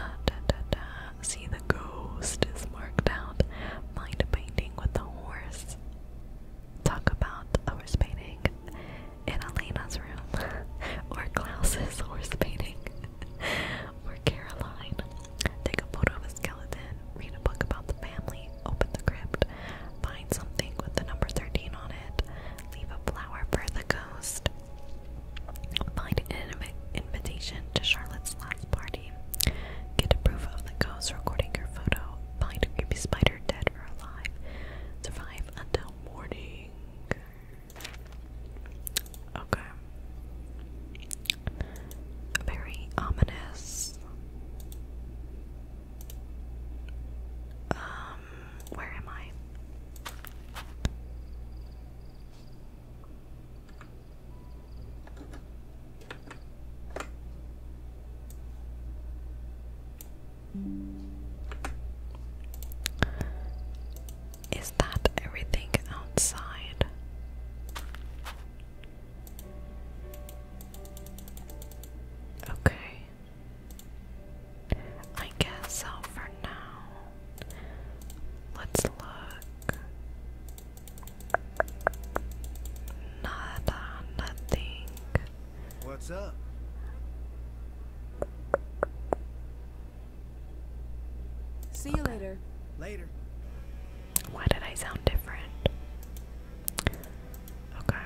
A: and see the ghost is marked out. Mind painting with the horse. Talk about horse painting in Elena's room, or Klaus's horse painting, or Caroline. Take a photo of a skeleton, read a book about the family, open the crypt, find something with the number 13 on it, leave a flower for the ghost, Find an inv invitation to Charlotte's last party. Get a proof of the ghost recording your photo. Find a creepy spider dead or alive. Survive until morning. Okay. Very ominous. Um, where am I? Is that everything outside? Okay. I guess so
D: for now. Let's look. nothing. What's up?
B: See you later.
D: Later. Why did I sound different? Okay.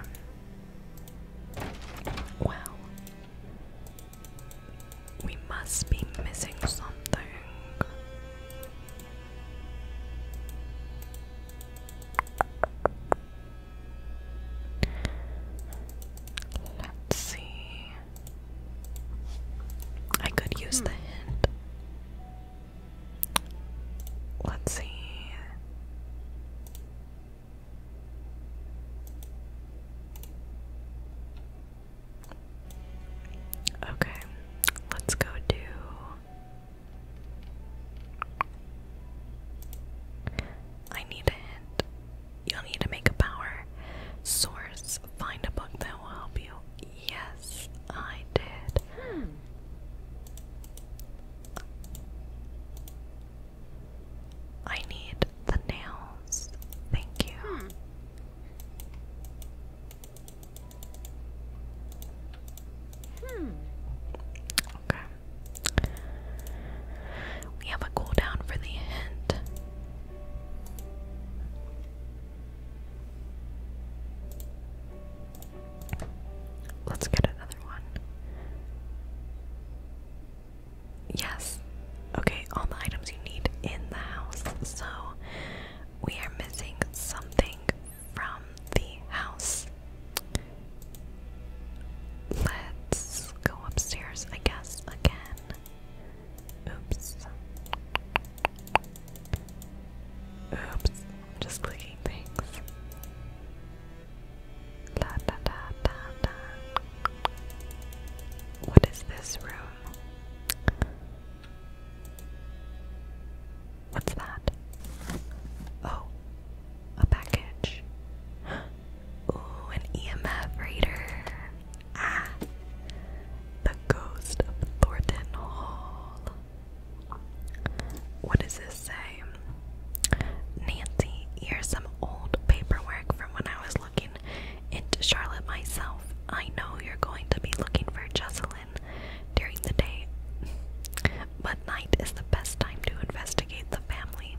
A: Well, we must be missing something. Let's see. I could use hmm. the hint. Let's see. Okay, let's go do. I need a hint. You'll need to make a power source. Find a book that will help you. Yes, I did. Hmm. I need the nails. Thank you. Hmm. Hmm. Okay. We have a cooldown for the hint. Let's get another one. Yes. Okay, all the items you need in the house. So we are missing something from the house. Let's go upstairs, I guess, again. Oops. Oops. I'm just clicking things. Da, da, da, da, da. What is this room? What's that? Oh, a package. Ooh, an EMF reader. Ah, the ghost of Thornton Hall. What does this say? Nancy, here's some old paperwork from when I was looking into Charlotte myself. I know you're going to be looking for Jocelyn during the day, but night is the best time to investigate the family.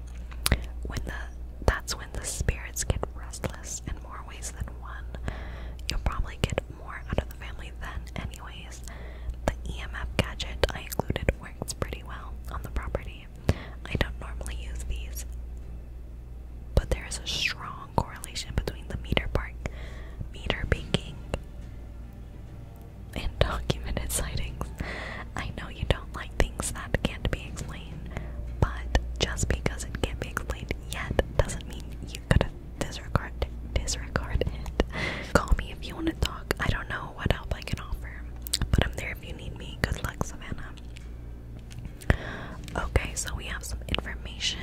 A: When the that's when the spirits get restless in more ways than one. You'll probably get more out of the family then anyways. The EMF gadget I included works pretty well on the property. I don't normally use these, but there is a strong correlation between the meter park, meter baking, and documented sightings. I know you don't like things that can't be explained, but just because it can't be explained yet doesn't mean you could disregard disregard it. Call me if you want to talk. I don't know what help I can offer, but I'm there if you need me. Good luck, Savannah. Okay, so we have some information.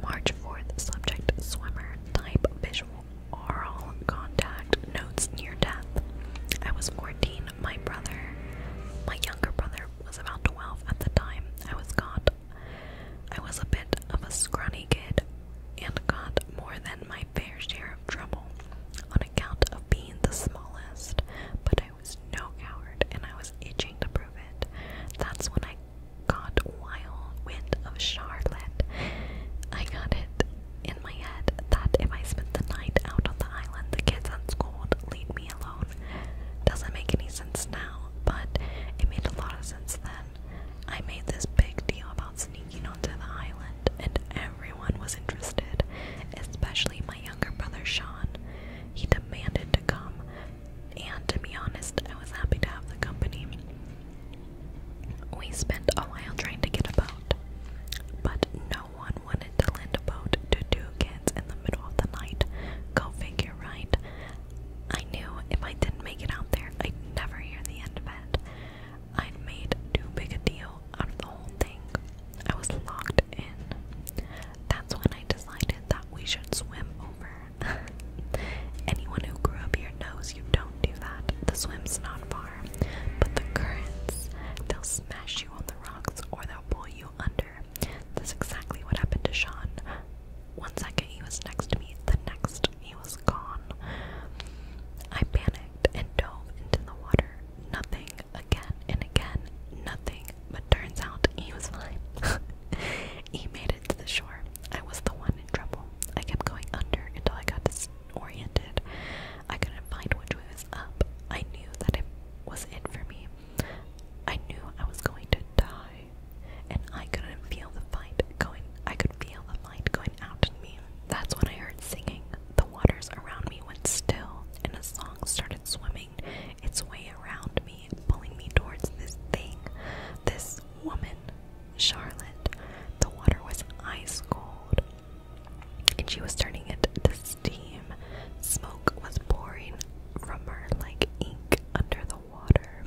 A: March 4th, subject swimmer, type visual, oral contact, notes near death. I was 14, my brother, my younger brother was about 12 at the time. I was caught. I was a bit of a scrawny kid and got more than my fair share of trouble on account being the smallest, but I was no coward and I was itching to prove it. That's when I got wild wind of Charlotte. I got it in my head that if I spent the night out on the island, the kids unschooled, leave me alone. Doesn't make any sense now, but it made a lot of sense then. I made this big deal about sneaking onto the island, and everyone was interested, especially my younger brother Sean. He demanded to come, and to be honest, I was happy to have the company. We spent a while trying to get a boat, but no one wanted to lend a boat to two kids in the middle of the night. Go figure, right? I knew if I didn't make it out there, I'd never hear the end of it i made too big a deal out of the whole thing. I was locked in. That's when I decided that we should swim over. Anyone who grew up here knows you don't do that. The swim's not far, but the currents, they'll smash you on the rocks or they'll pull you under. That's exactly what happened to Sean. One second he was next to me, the next he was gone. I panicked and dove into the water. Nothing again and again, nothing, but turns out he was fine. he made it to the shore. I was the one in trouble. I kept going under until I got disoriented. I couldn't find which way was up. I knew that it was it for me. I knew I was going to die, and I couldn't feel the fight going. I could feel the fight going out in me. That's when I heard singing. The waters around me went still, and a song started swimming its way around me, pulling me towards this thing, this woman, Charlotte. The water was ice cold, and she was turning it to steam. Smoke was pouring from her like ink under the water.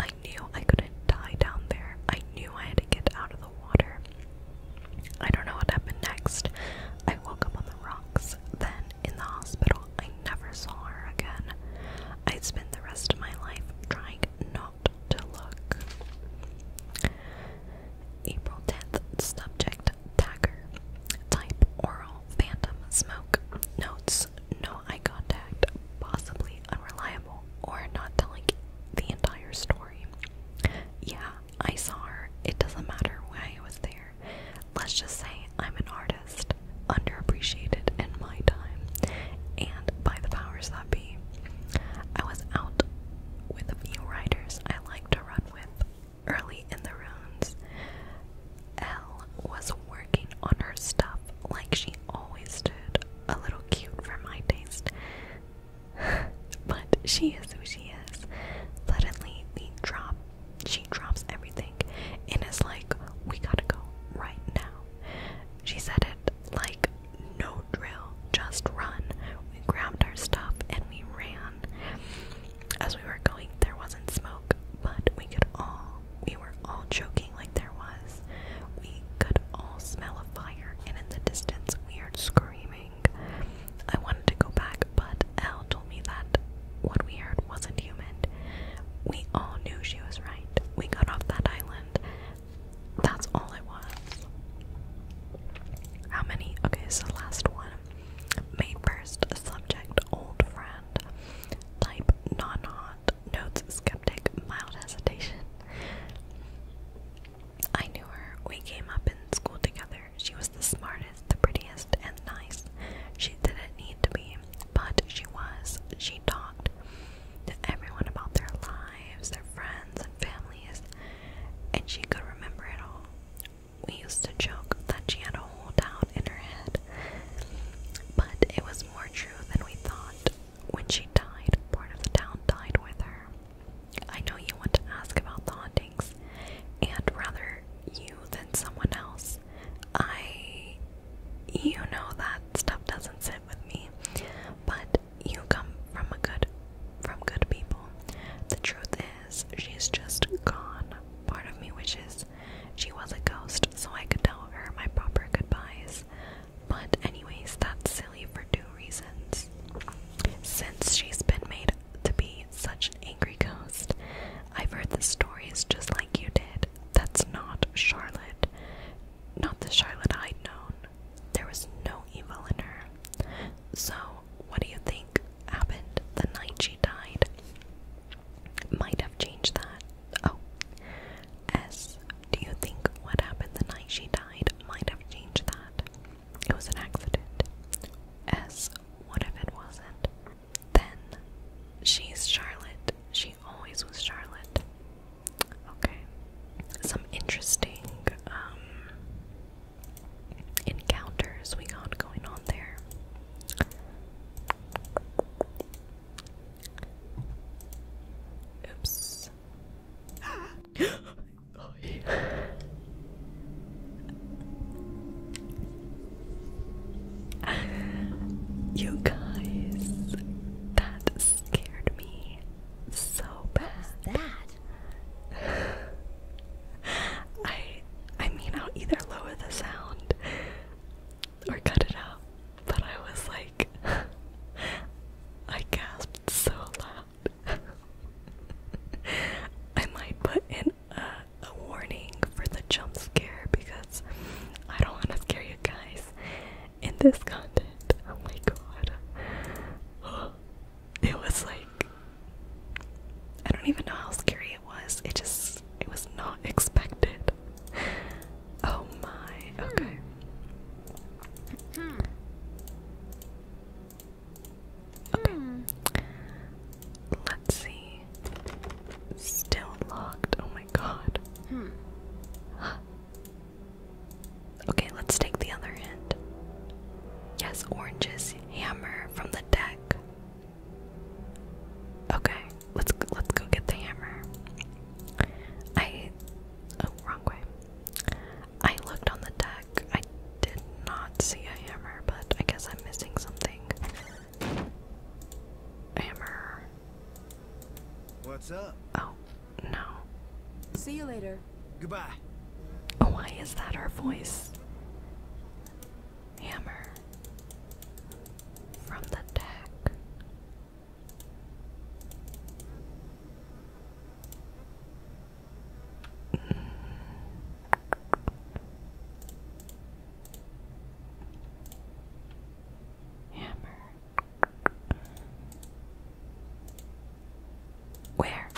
A: I knew I couldn't die down there. I knew I had to get out of the water. I don't know what happened next. I woke up on the rocks. Then, in the hospital, I never saw her again. I spent the rest of my life trying not to look. April 10th, subject Tagger. Type oral phantom smoke. Notes no eye contact, possibly unreliable, or not telling the entire story. Yeah, I saw her. It doesn't matter why I was there. Let's just say I'm an artist, underappreciated in my time, and by the powers that be. I was out with a few riders I like to run with early in the rounds. Elle was working on her stuff like she always did, a little cute for my taste. but she is who she is. Suddenly, we drop. She drops everything and it's like, "We gotta go right now." She said it like, "No drill, just run." We grabbed our stuff and we ran. As we were going, there wasn't smoke, but we could all. We were all choking like there was. We could all smell a fire, and in the distance, we heard screaming. I wanted to go back, but Elle told me that what we heard wasn't human. We all knew she was right. We got off that island. That's all it was. How many? Okay, so last one. May 1st, subject old friend. Type non hot. Notes skeptic, mild hesitation. I knew her. We came up in school together. She was the smartest, the prettiest, and nice. She didn't need to be, but she was. She talked to everyone about their lives, their friends, and families, and she could remember it all. We used to joke that she had a whole town in her head, but it was more true than we thought. When she died, part of the town died with her. I know you want to ask about the hauntings, and rather you than someone else. I. You know that stuff doesn't sit with me, but you come from a good. from good people. The truth is, she's just gone. Part of me wishes she was a ghost so I could tell her my proper goodbyes. But, anyways, that's silly for two reasons. Since she's been made to be such an angry ghost? I've heard the stories just like you did. That's not Charlotte. Not the Charlotte I'd known. There was no evil in her. So, what do you think happened the night she died? Might have changed that. Oh. S. Do you think what happened the night she died might have changed that? it was an accident, as what if it wasn't? Then she's Charlotte. She always was Charlotte. Okay. Some interesting um, encounters we got going on there. Oops. you guys, that scared me so bad. I I mean I'll either lower the sound or cut it out. But I was like I gasped so loud. I might put in a warning for the jump scare because I don't want to scare you guys in this content. Oh my god. It was like I don't even know how scary it was. It just it was not expected. Oh my. Okay. Hmm. Hmm. Okay. Hmm. Let's see. Still locked. Oh my god. Hmm. Okay, let's take the other end. Yes, oranges. Hammer from the deck. Okay, let's let's go get the hammer. I oh wrong way. I looked on the deck. I did not see a hammer, but I guess I'm missing something.
D: Hammer. What's up? Oh, no.
A: See you later. Goodbye. Oh, why is that her voice? Hammer. From the deck. Hammer. Where?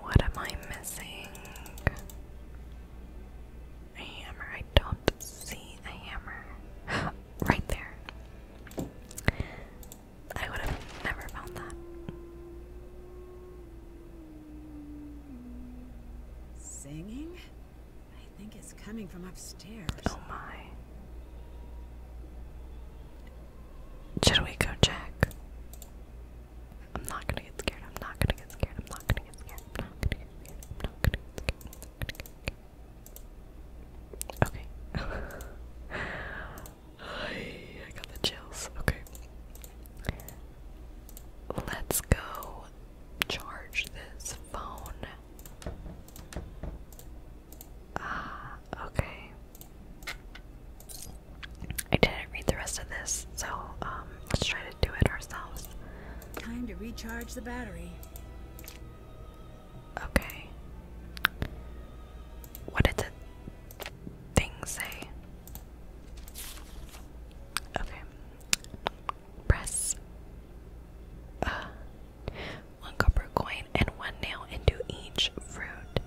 B: What am I missing? A hammer. I don't see a hammer. right there. I would have never found that. Singing? I think it's coming from upstairs upstairs. Oh my. Should we go check? I'm not gonna get scared. I'm not gonna get scared. I'm not gonna get scared. I'm not gonna get scared. I'm Not gonna
A: get scared. Okay. I got the chills. Okay. Let's go charge this phone. Ah, okay. I didn't read the rest of this, so um, let's try to do it ourselves. Time to recharge the battery. Okay. What did the say? Okay. Press. Uh, one copper coin, and one nail into each fruit.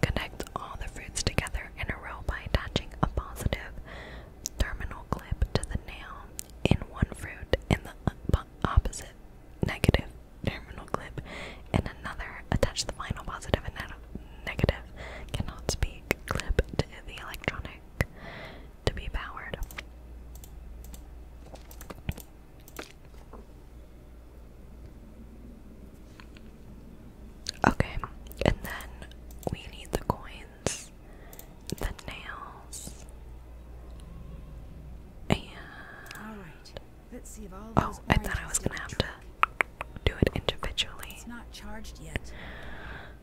A: Connect all the fruits together in a row by attaching a positive terminal clip to the nail in one fruit and the opposite negative terminal clip in another. Attach the final positive and negative cannot speak clip to the electronic
B: to be powered. Okay, and then we need the coins, the nails, and oh, I thought I was gonna have to do it individually.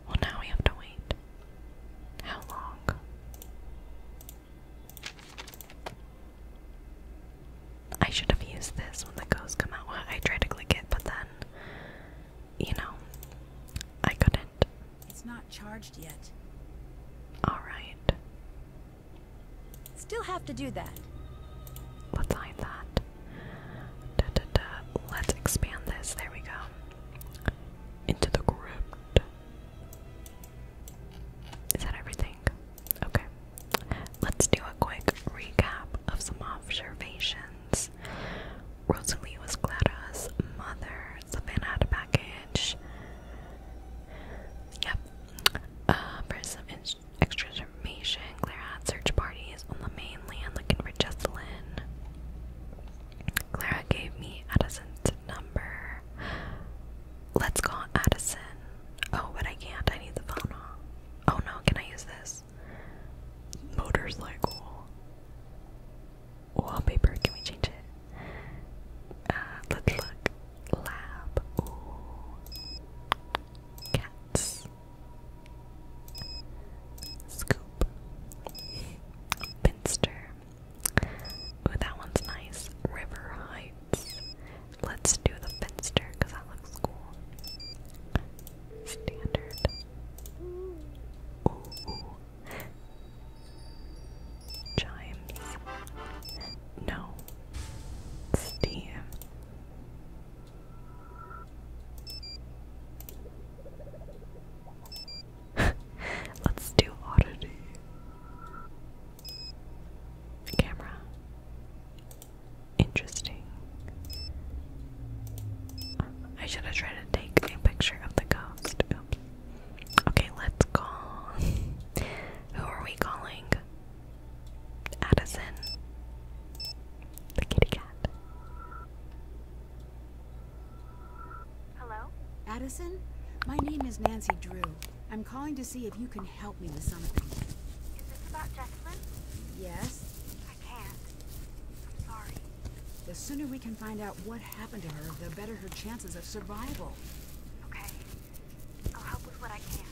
B: Well, now we have to wait. How long?
A: I should have used this when the ghosts come out. Well, I tried to click it, but then, you know,
B: I couldn't. It's not charged yet.
A: Alright. Still have to do that. Let's hide that. Let's expand this. There we go. Into the crypt. Is that everything? Okay. Let's do a quick recap of some observations. Rosalie was Clara's mother. Savannah had a package. Yep. Uh, for some extra information, Clara had search parties on the mainland looking for Jocelyn. Clara gave me Addison's number. Let's call Addison. Oh, but I can't. I need the phone Oh no, can I use this? Motors Motorcycle. Wallpaper, can we change it? Uh, let's look. Lab. Cats. Scoop. Pinster. Ooh, that one's nice. River Heights. Let's do the Finster because that looks cool. Standard. Ooh, ooh. Chimes. No. Steam. Let's do oddity camera. Interesting. I should have tried to take a picture of the ghost. Okay, let's call. Who are we calling?
B: Addison. The kitty cat. Hello? Addison? My name is Nancy Drew. I'm calling to see if you can help me with something. Is this about Jessamine? Yes. I can't. I'm sorry. The sooner we can find out what happened to her, the better her chances of survival. Okay. I'll help with what I can.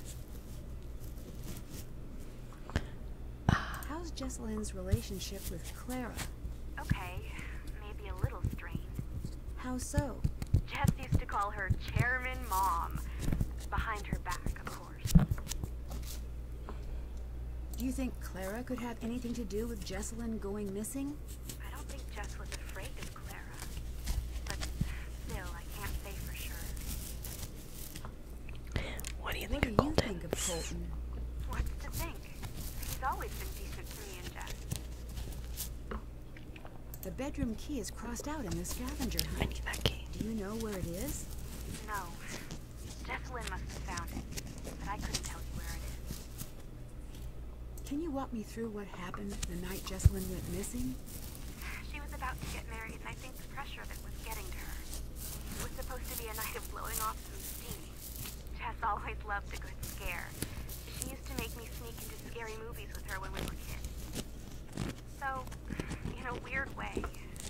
B: How's Jessalyn's relationship with Clara?
C: Okay. Maybe a little strained.
B: How so?
C: Jess used to call her Chairman Mom. Behind her back, of course.
B: Do you think Clara could have anything to do with Jesselyn going missing?
C: I don't think Jess was afraid of Clara. But still,
A: I can't say for sure. What do you think of you think of Colton?
C: What's to think? He's always been decent to me and Jess.
B: The bedroom key is crossed out in the scavenger hunt. I Do you know where it is?
C: No. Declan must have found it, but I couldn't tell you where it is.
B: Can you walk me through what happened the night Jessalyn went missing?
C: She was about to get married, and I think the pressure of it was getting to her. It was supposed to be a night of blowing off some steam. Jess always loved a good scare. She used to make me sneak into scary movies with her when we were kids. So, in a weird way,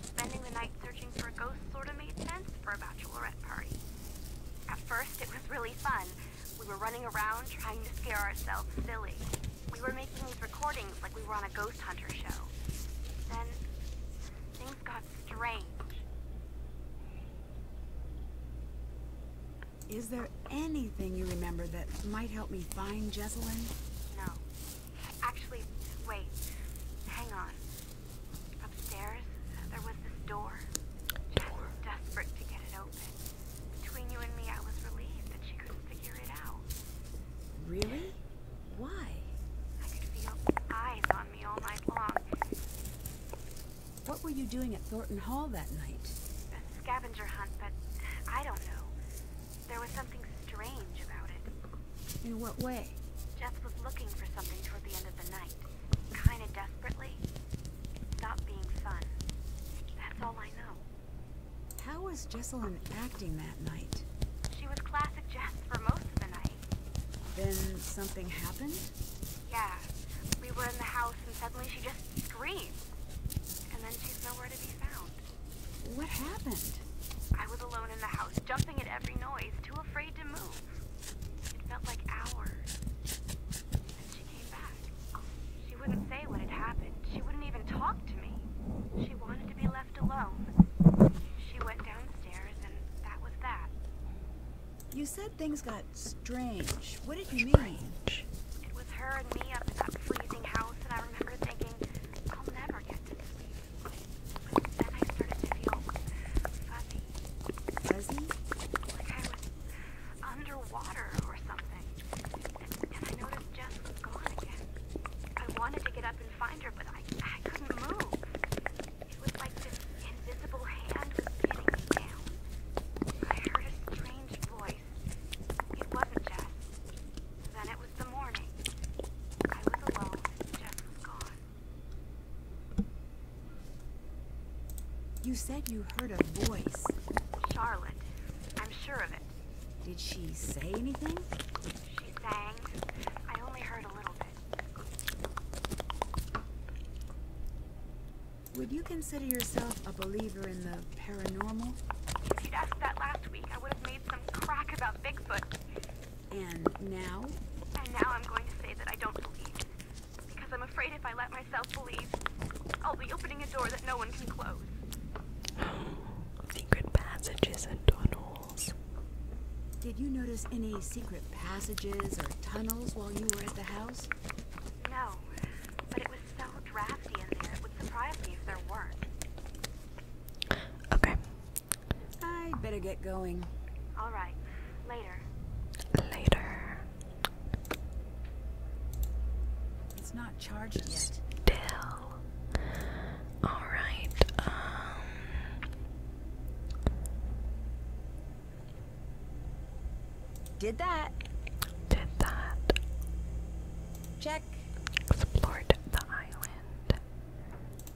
C: spending the night searching for a ghost sort of made sense for a bachelorette party. At first, it was really fun. We were running around trying to scare ourselves silly. We were making these recordings like we were on a ghost hunter show. Then, things got strange.
B: Is there anything you remember that might help me find Jesselyn?
C: No. Actually, wait. Hang on. Upstairs, there was this door. I desperate to get it open. Between you and me, I was relieved that she couldn't figure
B: it out. Really? Why?
C: I could feel eyes on me all night long.
B: What were you doing at Thornton Hall that night?
C: scavenger hunt, but I don't know. There was something strange about it. In what way? Jess was looking for something toward the end of the night. Kinda desperately. It stopped being fun. That's all I know.
B: How was Jessalyn acting that night?
C: She was classic Jess for most of the night.
B: Then something happened?
C: Yeah. We were in the house and suddenly she just screamed.
B: What happened?
C: I was alone in the house, jumping at every noise, too afraid to move. It felt like hours. And she came back. She wouldn't say what had happened. She wouldn't even talk to me.
B: She wanted to be left alone. She went downstairs, and that was that. You said things got strange. What did you strange. mean? with her and me up in that freezing house, and I remember thinking, I'll never get to sleep.
A: Then I started to feel fuzzy. Like I was underwater or something.
C: And, I noticed Jess was gone I wanted to get up and find her, but I, I couldn't move. It was like this invisible hand was pinning me down. I heard a strange voice. It wasn't Jess.
B: Then it was the morning. I was alone Jess was gone. You said you heard a voice.
C: Charlotte. I'm sure of it.
B: Did she say anything? She sang. I only heard a little bit. Would you consider yourself a believer in the paranormal?
C: If you'd asked that last week, I would have made some crack about Bigfoot.
B: And now?
C: And now I'm going to say that I don't believe. Because I'm afraid if I let myself believe, I'll be opening a door that no one can
A: close.
B: secret passages
A: and tunnels.
B: Did you notice any secret passages or tunnels while you were at the house?
C: No, but it was drafty in there. It would surprise me if there weren't.
B: Okay. I better get going. All right. Later. Later. It's not charged yet. Still. All right. Um did that. Did that. Check. Explored the island.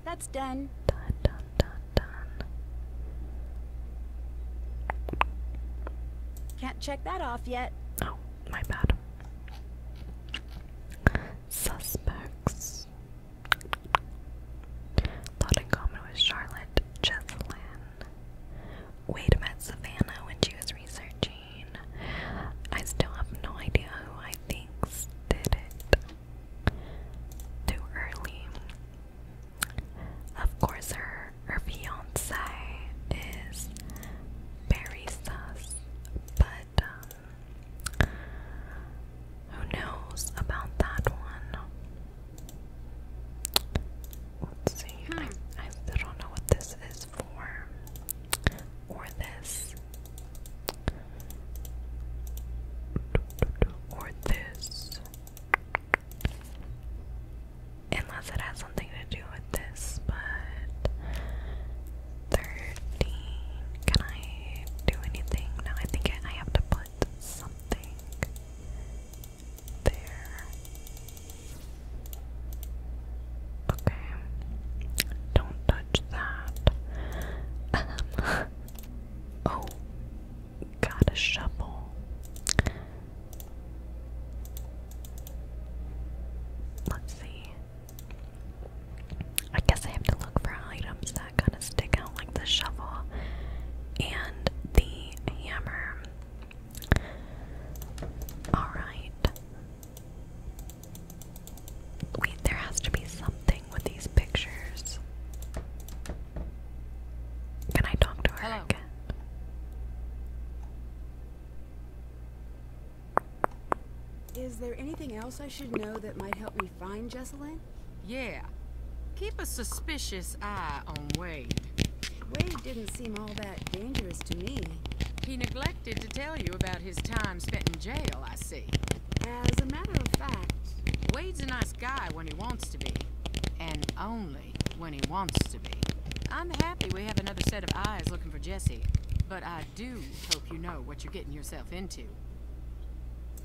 B: That's done. Done, done, done, Can't check that off yet. Oh, my bad. Suspects. Lot in common with Charlotte
A: Jesselyn. Wade met Savannah when she was researching. I still have no idea who I think did it. Too early. Of course, her her fiance is very sus, but um, who knows about that one? Let's see. I hmm. I don't know what this is this form or this or this unless it has something to do with this but 13 can I do anything? no I think I have to put something there. Okay. Don't touch that. Um, oh, got a shovel. Let's see. I guess I have to look for items that kind of stick out, like the shovel and the hammer. Alright. Wait, there has to be something with these pictures. Can I talk to her again?
B: Is there anything else I should know that might help me find Jesselyn?
E: Yeah. Keep a suspicious eye on Wade. Wade didn't seem all that dangerous to me. He neglected to tell you about his time spent in jail, I see. As a matter of fact... Wade's a nice guy when he wants to be. And only when he wants to be. I'm happy we have another set of eyes looking for Jesse. But I do hope you know what you're getting yourself into.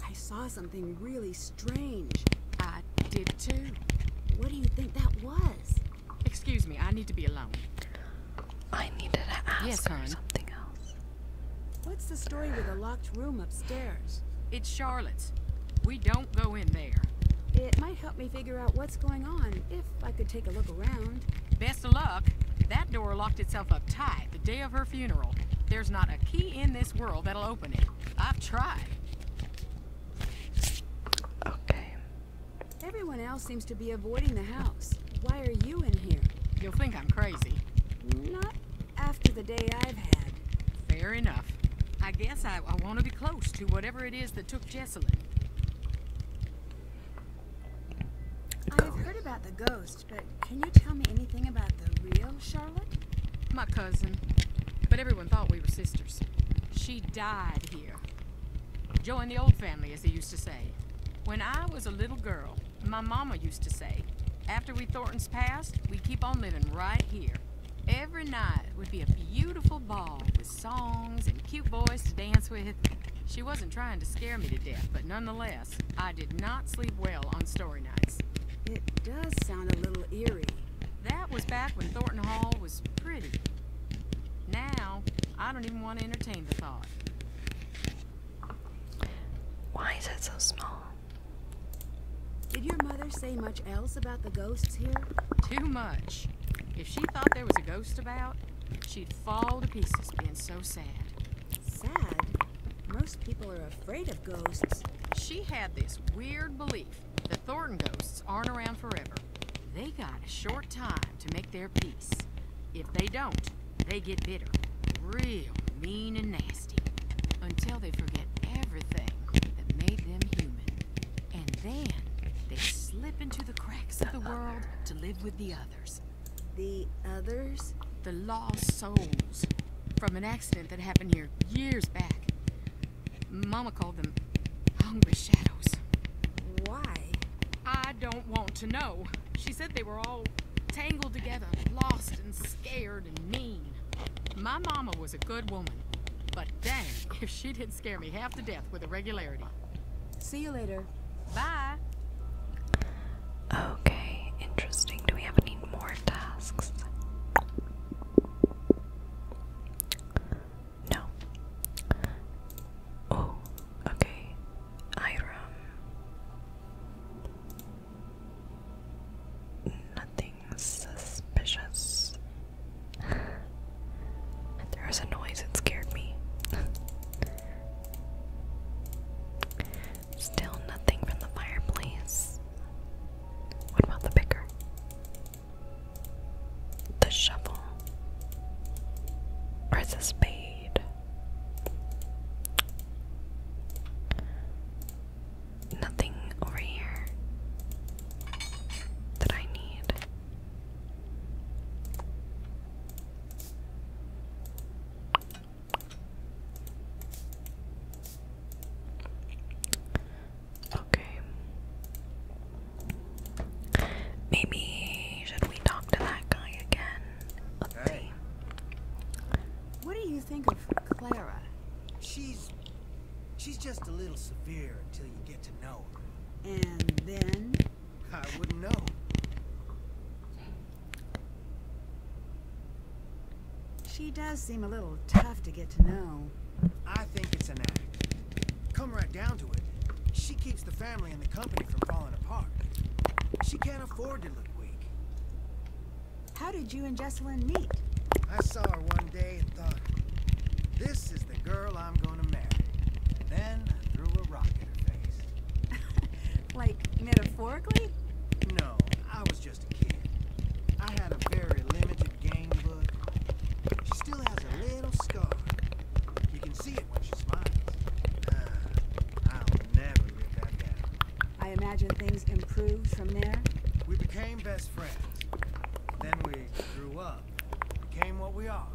E: I saw something really strange. I did too. What do you think that was? Excuse me, I need to be alone. I needed to ask yes, her something else. What's the story with the locked room upstairs? It's Charlotte's. We don't go in there. It
B: might help me figure out what's going on, if I could take a look around.
E: Best of luck. That door locked itself up tight the day of her funeral. There's not a key in this world that'll open it. I've tried.
B: Okay. Everyone else seems to be avoiding the house. Why are you in here? You'll think I'm crazy.
E: Not after the day I've had. Fair enough. I guess I, want to be close to whatever it is that took Jessalyn. I've heard about the ghost, but can you tell me anything about the real Charlotte? My cousin. But everyone thought we were sisters. She died Join the old family, as they used to say. When I was a little girl, my mama used to say, after we Thorntons passed, we keep on living right here. Every night would be a beautiful ball with songs and cute boys to dance with. She wasn't trying to scare me to death, but nonetheless, I did not sleep well on story nights. It does sound a little eerie. That was back when Thornton Hall was pretty. Now, I don't even want to entertain the thought.
A: Why is it so small?
E: Did your mother say much else about the ghosts here? Too much. If she thought there was a ghost about, she'd fall to pieces being so sad. Sad? Most people are afraid of ghosts. She had this weird belief that Thornton ghosts aren't around forever. They got a short time to make their peace. If they don't, they get bitter. Real mean and nasty. Until they forget everything that made them human. And then they slip into the cracks of the world to live with the others. The others? The lost souls. From an accident that happened here years back. Mama Mama called them hungry shadows. Why? I don't want to know. She said they were all tangled together, lost and scared and mean. My mama was a good woman, but dang, if she didn't scare me half to death with irregularity. See you later. Bye.
A: Okay, interesting. Do we have any more tasks? No. Oh, okay. Iram. Nothing suspicious. there was a noise, it scared me. Still nothing from the fireplace. What about the picker? the shovel or the spade. Nothing over here that I need. Okay. Maybe should we talk to that guy again? let
D: What do you think of Clara? She's she's just a little severe until you get to know her. And then I wouldn't know. She does seem a little tough to get to know. I think it's an act. Come right down to it, she keeps the family and the company from falling apart. She can't afford to look weak. How did you and Jessalyn meet? I saw her one day and thought, this is the girl I'm going to marry. then I threw a rock in her face. like, metaphorically?
B: No, I was just a kid. I had a very limited game book. She still has a
D: little scar. You can see it when she smiles. Ah, i imagine things improved from there. We became best friends. Then we grew up, became what we are,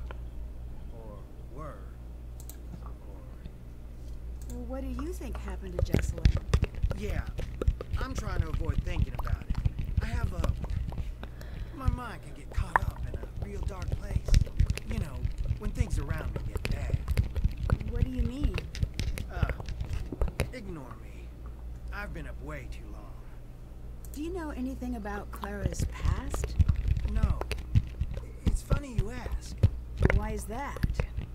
D: or were. Well, what do you think happened to Jessalyn? Yeah, I'm trying to avoid thinking about it. I have a my mind get caught up in a real dark place. You know, when things around me get bad. What do you mean? Uh, ignore me. I've been up way too long. Do you know anything about Clara's past? No. It's funny you ask. Why is that?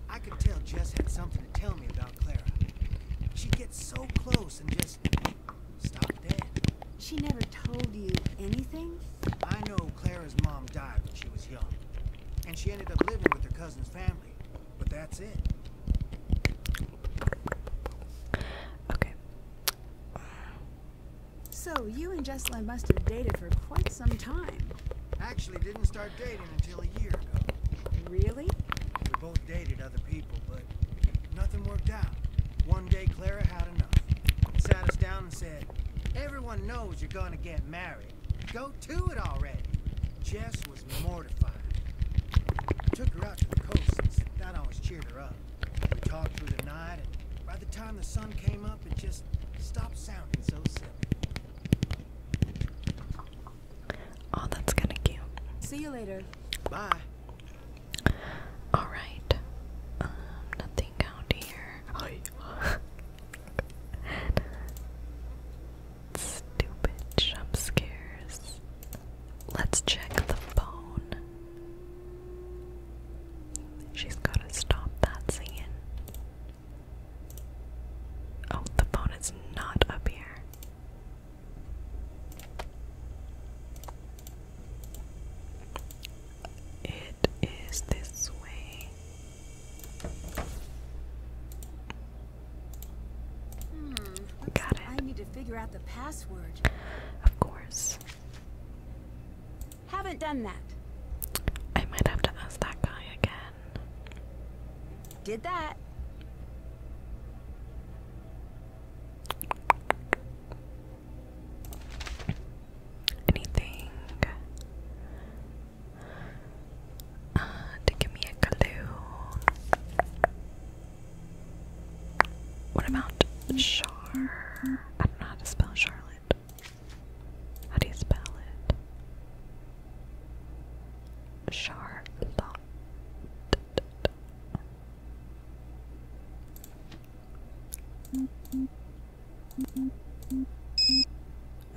D: I could tell Jess had something to tell me about Clara. She gets so close and just Stop dead. She never told you anything? I know Clara's mom died when she was young. And she ended up living with her cousin's family. But that's it.
B: Okay. So, you and Jocelyn must
D: have dated for quite some time. Actually, didn't start dating until a year ago. Really? We both dated other people, but Nothing worked out. One day Clara had enough. Sat us down and said, Everyone knows you're gonna get married. Go to it already. Jess was mortified. I took her out to the coast that always cheered her up. We talked through the night, and by the time the sun came up, it just stopped sounding so silly.
B: Oh, that's kinda cute. See you later.
D: Bye. Alright. Um, nothing out
A: here. Stupid jump scares. Let's check the phone. She's gotta stop that singing. Oh, the phone is not up here. It is this way.
B: Hmm. Got it. I need to figure out the password. Of course. Haven't done that.
F: I might have to ask that
B: guy again. Did that. Anything
A: uh, to give me a clue? What about Char? I don't know how to spell Charlotte. How do you spell it? Charlotte.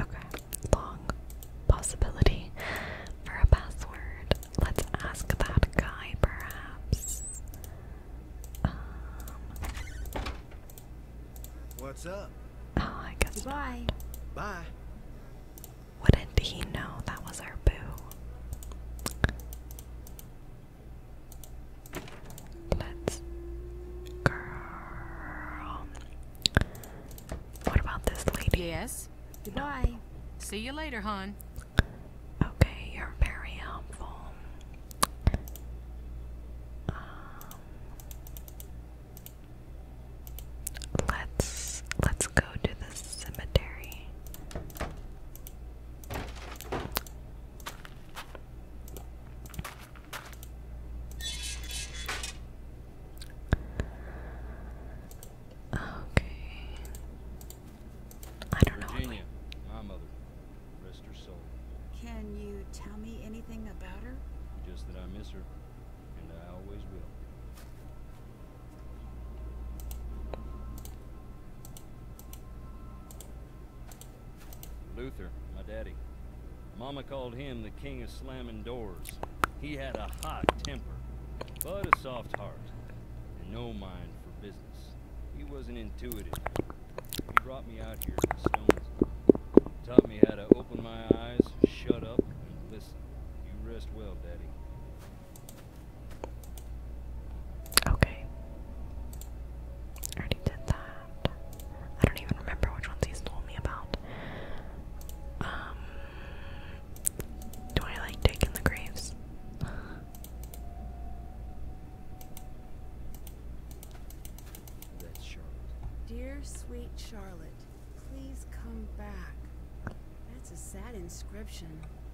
A: Okay, long possibility for a password. Let's ask that guy,
D: perhaps. Um, What's up?
A: Oh, I guess. Bye. Bye. Wouldn't he know that was our boo? Let's
E: girl. What about this lady? Yes. Goodbye. See you later, hon. Okay, you're very helpful. Um, let's let's go to the cemetery.
F: Okay. I don't know. Virginia, my mother. Rest her soul.
B: Can you tell me anything about her?
F: Just that I miss her, and I always will. Luther, my daddy. Mama called him the king of slamming doors. He had a hot temper, but a soft heart, and no mind for business. He wasn't intuitive. He brought me out here to Stones. Taught me how to open my eyes, shut up, and listen. You rest well, Daddy. Okay. already did that. I don't even remember which ones he's told me about.
B: Um, do I like taking the graves? That's Charlotte. Dear sweet Charlotte, please come back. That's a sad
F: inscription.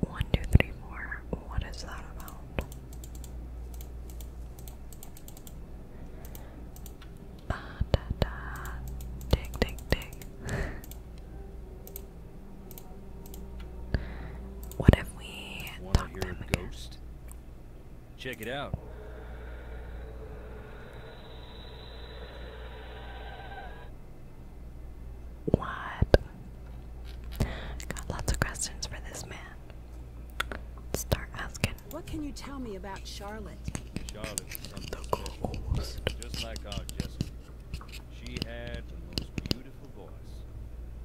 F: One, two, three, four. What is that about? Uh, da, da. Dig, dig, dig. what if we Wanna talk a Ghost? Check it out.
A: What? Got lots of questions for this man. Start
B: asking. What can you tell me about Charlotte?
F: Charlotte's something special. Just like our Jessica. She had the most beautiful voice.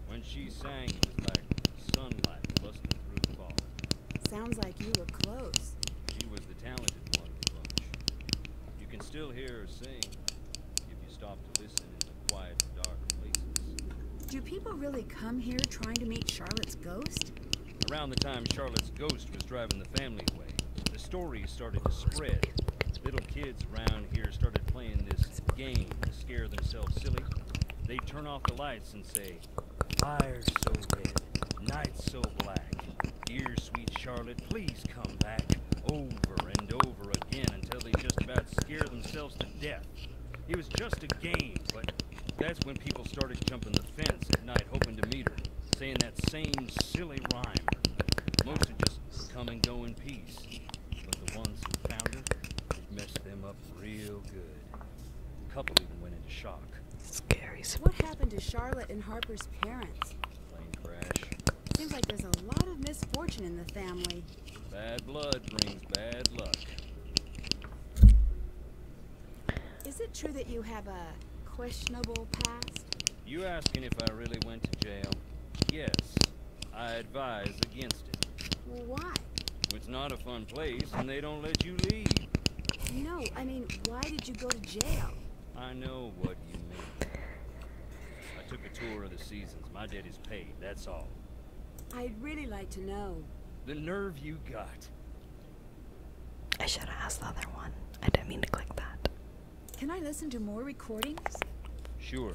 F: When she sang, it was like sunlight busting through the fog.
B: Sounds like you were close.
F: She was the talented one You can still hear her sing if you stop to listen.
B: Do people really come here trying to meet Charlotte's ghost?
F: Around the time Charlotte's ghost was driving the family away, the stories started to spread. Little kids around here started playing this game to scare themselves silly. They turn off the lights and say, "Fire so red, night so black. Dear sweet Charlotte, please come back. Over and over again until they just about scare themselves to death. It was just a game, but that's when people started jumping the fence at night hoping to meet her, saying that same silly rhyme. Most would just come and go in peace, but the ones who found her, it messed them up real good. A couple even went into shock.
B: Scary. What happened to Charlotte and Harper's parents?
F: Plane crash.
B: Seems like there's a lot of misfortune in the family.
F: Bad blood brings bad luck.
B: Is it true that you have a questionable past?
F: You asking if I really went to jail? Yes. I advise against it. Well, why? It's not a fun place, and they don't let you leave.
B: No, I mean, why did you go to jail?
F: I know what you mean. I took a tour of the seasons. My debt is paid, that's all.
B: I'd really like to know.
F: The nerve you got.
A: I should have asked the other one. I didn't mean to click that.
B: Can I listen to more recordings? Sure.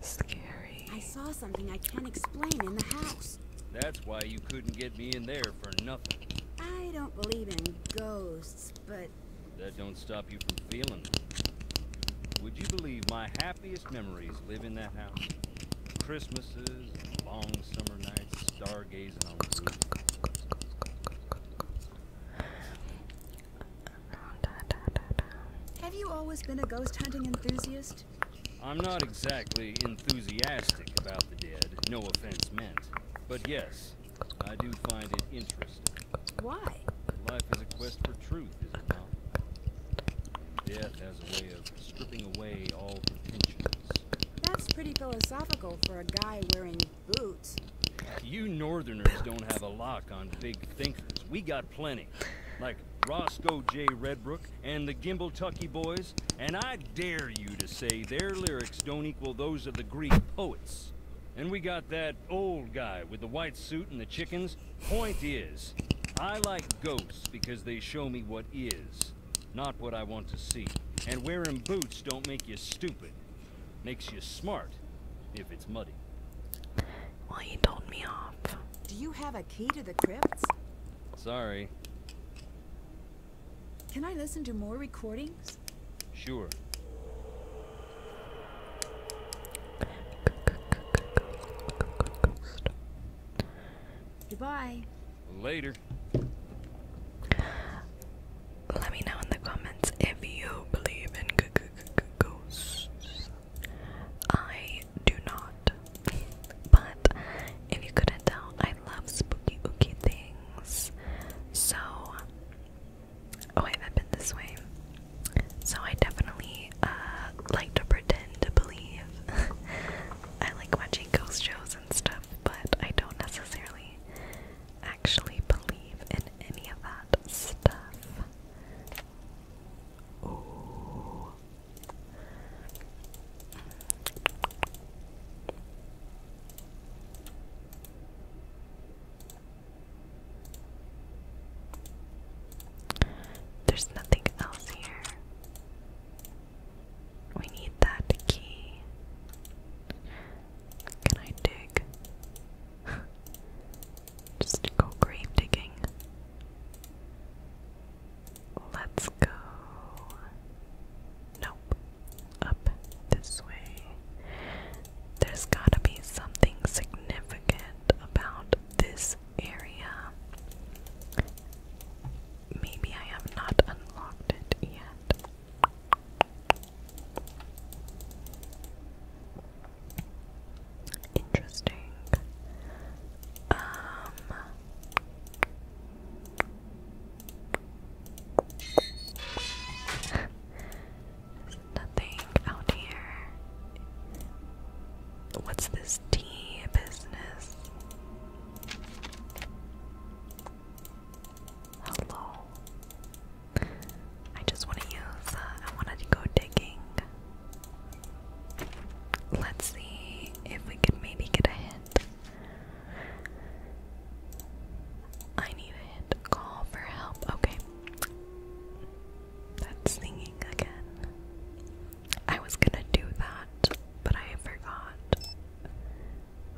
B: Scary. I saw something I can't explain in the house.
F: That's why you couldn't get me in there for nothing.
B: I don't believe in ghosts, but
F: that don't stop you from feeling it. Would you believe my happiest memories live in that house? Christmases, long summer nights, stargazing on the roof.
B: Have you always been a ghost hunting enthusiast?
F: I'm not exactly enthusiastic about the dead, no offense meant. But yes, I do find it interesting. Why? Life is a quest for truth, is it not? And death has a way of stripping away all pretensions.
B: That's pretty philosophical for a guy wearing boots.
F: You northerners don't have a lock on big thinkers. We got plenty. Like Roscoe J. Redbrook and the Gimbletucky Boys, and I dare you to say their lyrics don't equal those of the Greek poets. And we got that old guy with the white suit and the chickens. Point is, I like ghosts because they show me what is, not what I want to see. And wearing boots don't make you stupid. Makes you smart, if it's muddy.
A: Well, he told me off. Do you have a key to the crypts?
F: Sorry.
B: Can I listen to more recordings?
F: Sure. Goodbye. Later. Let me know in the comments if you believe in
A: ghosts. I do not. but if you couldn't tell, I love spooky ooky things. So Oh, I haven't been this way. So I definitely uh, like to pretend to believe. I like watching ghost shows and stuff, but I don't necessarily actually believe in any of that stuff. There's nothing else here. We need that key. Can I dig? Just go grave digging. Let's go. Nope up this way. There's gotta be something significant about this area. Maybe I have not unlocked it yet. Interesting. Um, nothing out here. What's this tea business? Hello. I just want to use, uh, I wanted to go digging. Let's see if we could maybe get a hint. I need a call for help. Okay. That's singing again.
B: I was gonna do that, but I forgot.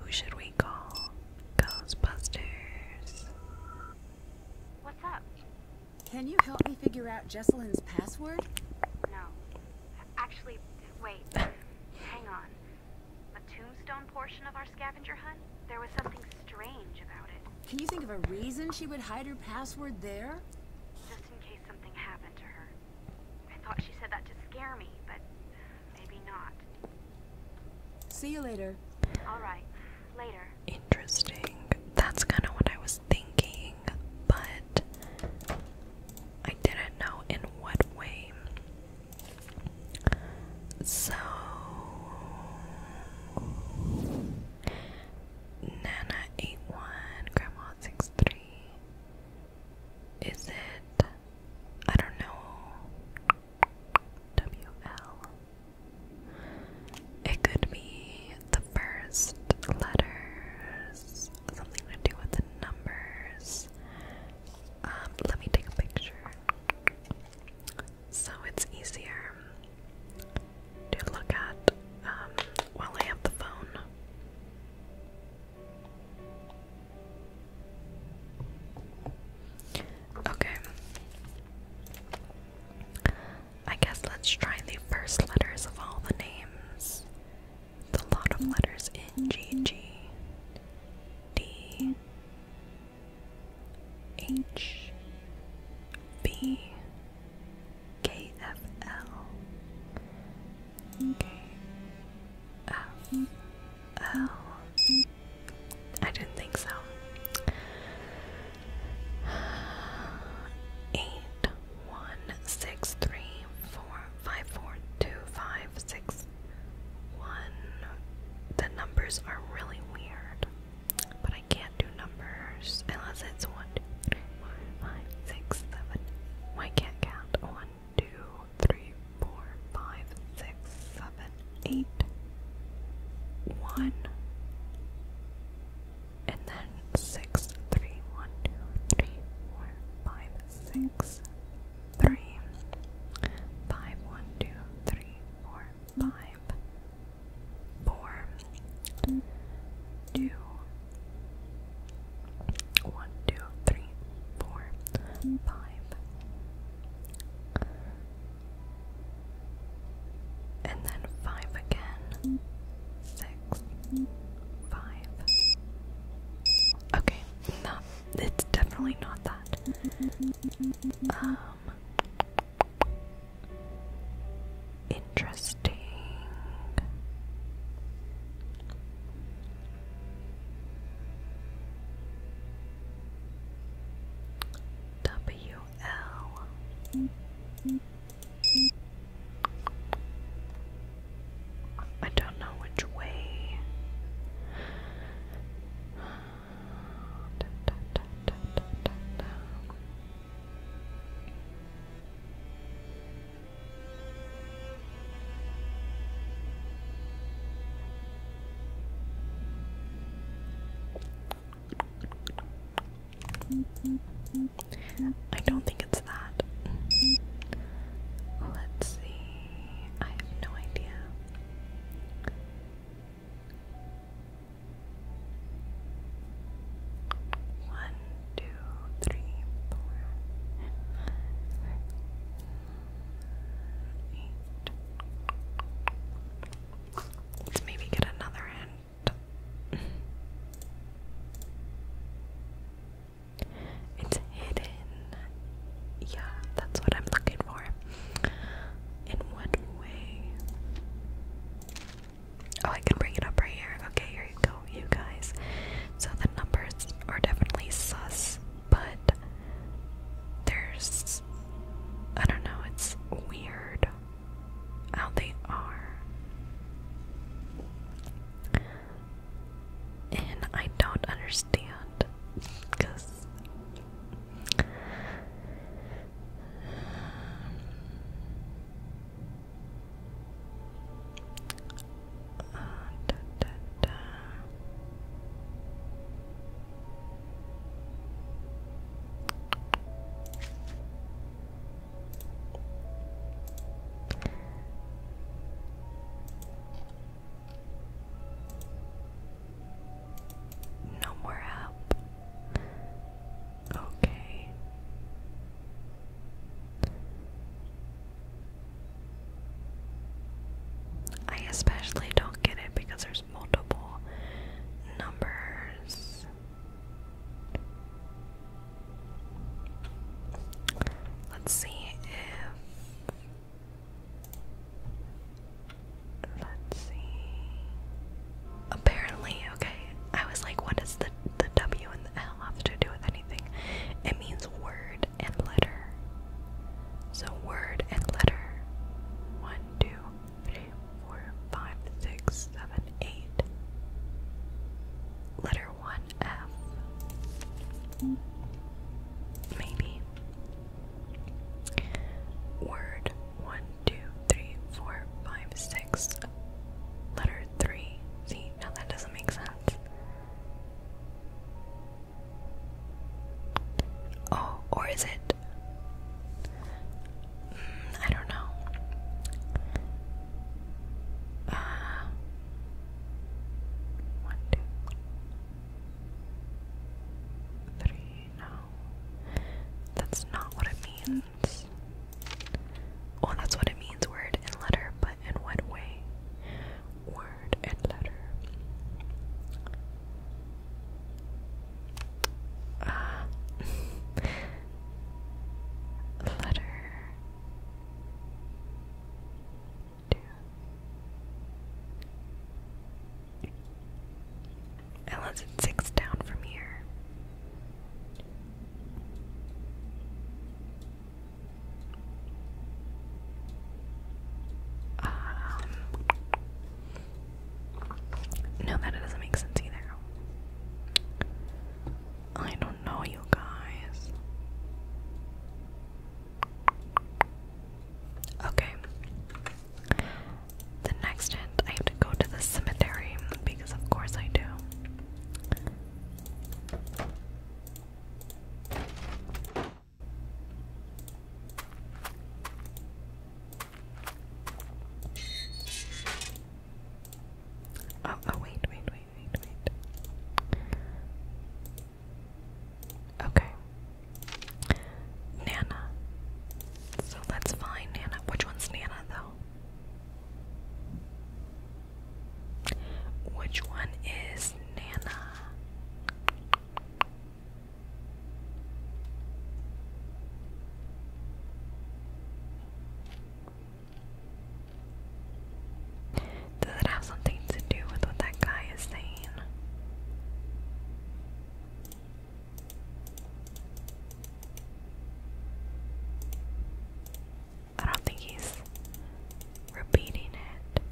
B: Who should we call? Ghostbusters. What's up? Can you help me figure out Jesselyn's password? No.
C: Actually, wait. Hang on. A tombstone portion of our scavenger hunt? There was something strange about it.
B: Can you think of a reason she would hide her password there?
C: Just in case something happened to her. I thought she said that to scare me, but maybe not.
A: See you later. Alright, later. Interesting. That's kind of what I was thinking, but I didn't know in what way. So Nana eight one, Grandma six three. Is it? I don't know. W L. It could be the first letters, something to do with the numbers. Um, let me take a so it's easier to look at um, while I have the phone. Okay. I guess let's try the first letters of all the names. It's a lot of letters in G G D H B K F L K F L I didn't think so. Eight one six three four five four two five six one. The numbers are really weird, but I can't do numbers unless it's one, two, three, four, five, six, seven. I can't count. One, two, three, four, five, six, seven, eight. One. And then six, three, one, two, three, four, five, six, three,
F: five, one, two, three, four, five, four, two, one, two, three, four, five,
A: and then five again, six, five. Okay, no, it's definitely not that. Um, Interesting. W L. I don't know which way. I don't think it's that. Let's see. I have no idea. One, two, three, four, eight. Let's maybe get another hint. It's hidden. Yeah, that's what I'm looking for. In what way? Oh, I can bring it up right here. Okay, here you go, you guys. So the numbers are definitely sus, but there's. I don't know, it's weird how they are. And I don't understand because uh, da, da, da. No more help. Okay. I especially don't get it because there's multiple numbers. Let's see if Let's see. Apparently, okay. I was like, what does the the W and the L have to do with anything? It means word and letter. So word and letter. One, two, three, four, five, six, seven, eight. Letter one F. Maybe. Word one, two, three, four, five, six. Letter three. See, now that doesn't make sense. Oh, or is it? Hmm, I don't know. Uh, one, two, three, no. That's not what it means. Well, that's what it means, word and letter, but in what way? Word and letter. Uh, letter. Two. Ella's at six down from here. Um, no, that doesn't make sense either. I don't know, you guys. Okay. The next hint, I have to go to the cemetery because, of course, I do. Oh, oh, wait, wait, wait, wait, wait. Okay, Nana. So let's find Nana. Which one's Nana, though? Which one is Nana? Does it have something to do with what that guy is saying? I don't think he's repeating it.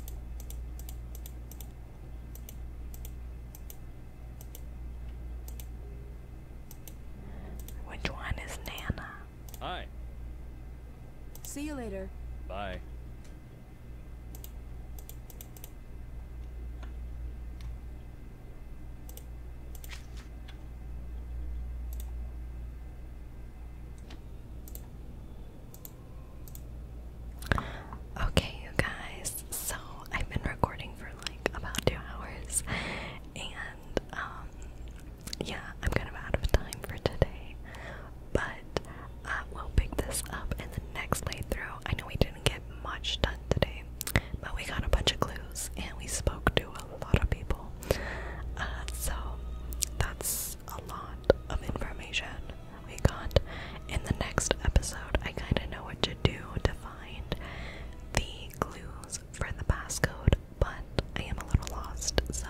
A: Which one is Nana? Hi. See you later. Bye. Okay, you guys, so I've been recording for like about two hours, and um, yeah, I'm kind of out of time for today, but uh, we'll pick this up in the next playthrough. I know we did didn't get much done today, but we got a bunch of clues and we spoke to a lot of people. Uh, so that's a lot of information we got. In the next episode, I kind of know what to do to find the clues for the passcode, but I am a little lost, so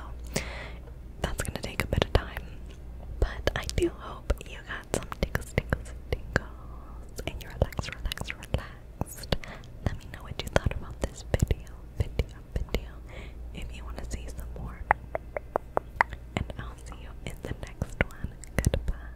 A: that's gonna take a bit of time. But I do hope you got some tickle tingles, tingles, and you relax, relax, relax. Let me know what you thought about this video, video, video. If you want to see some more, and I'll see you in the next one. Goodbye.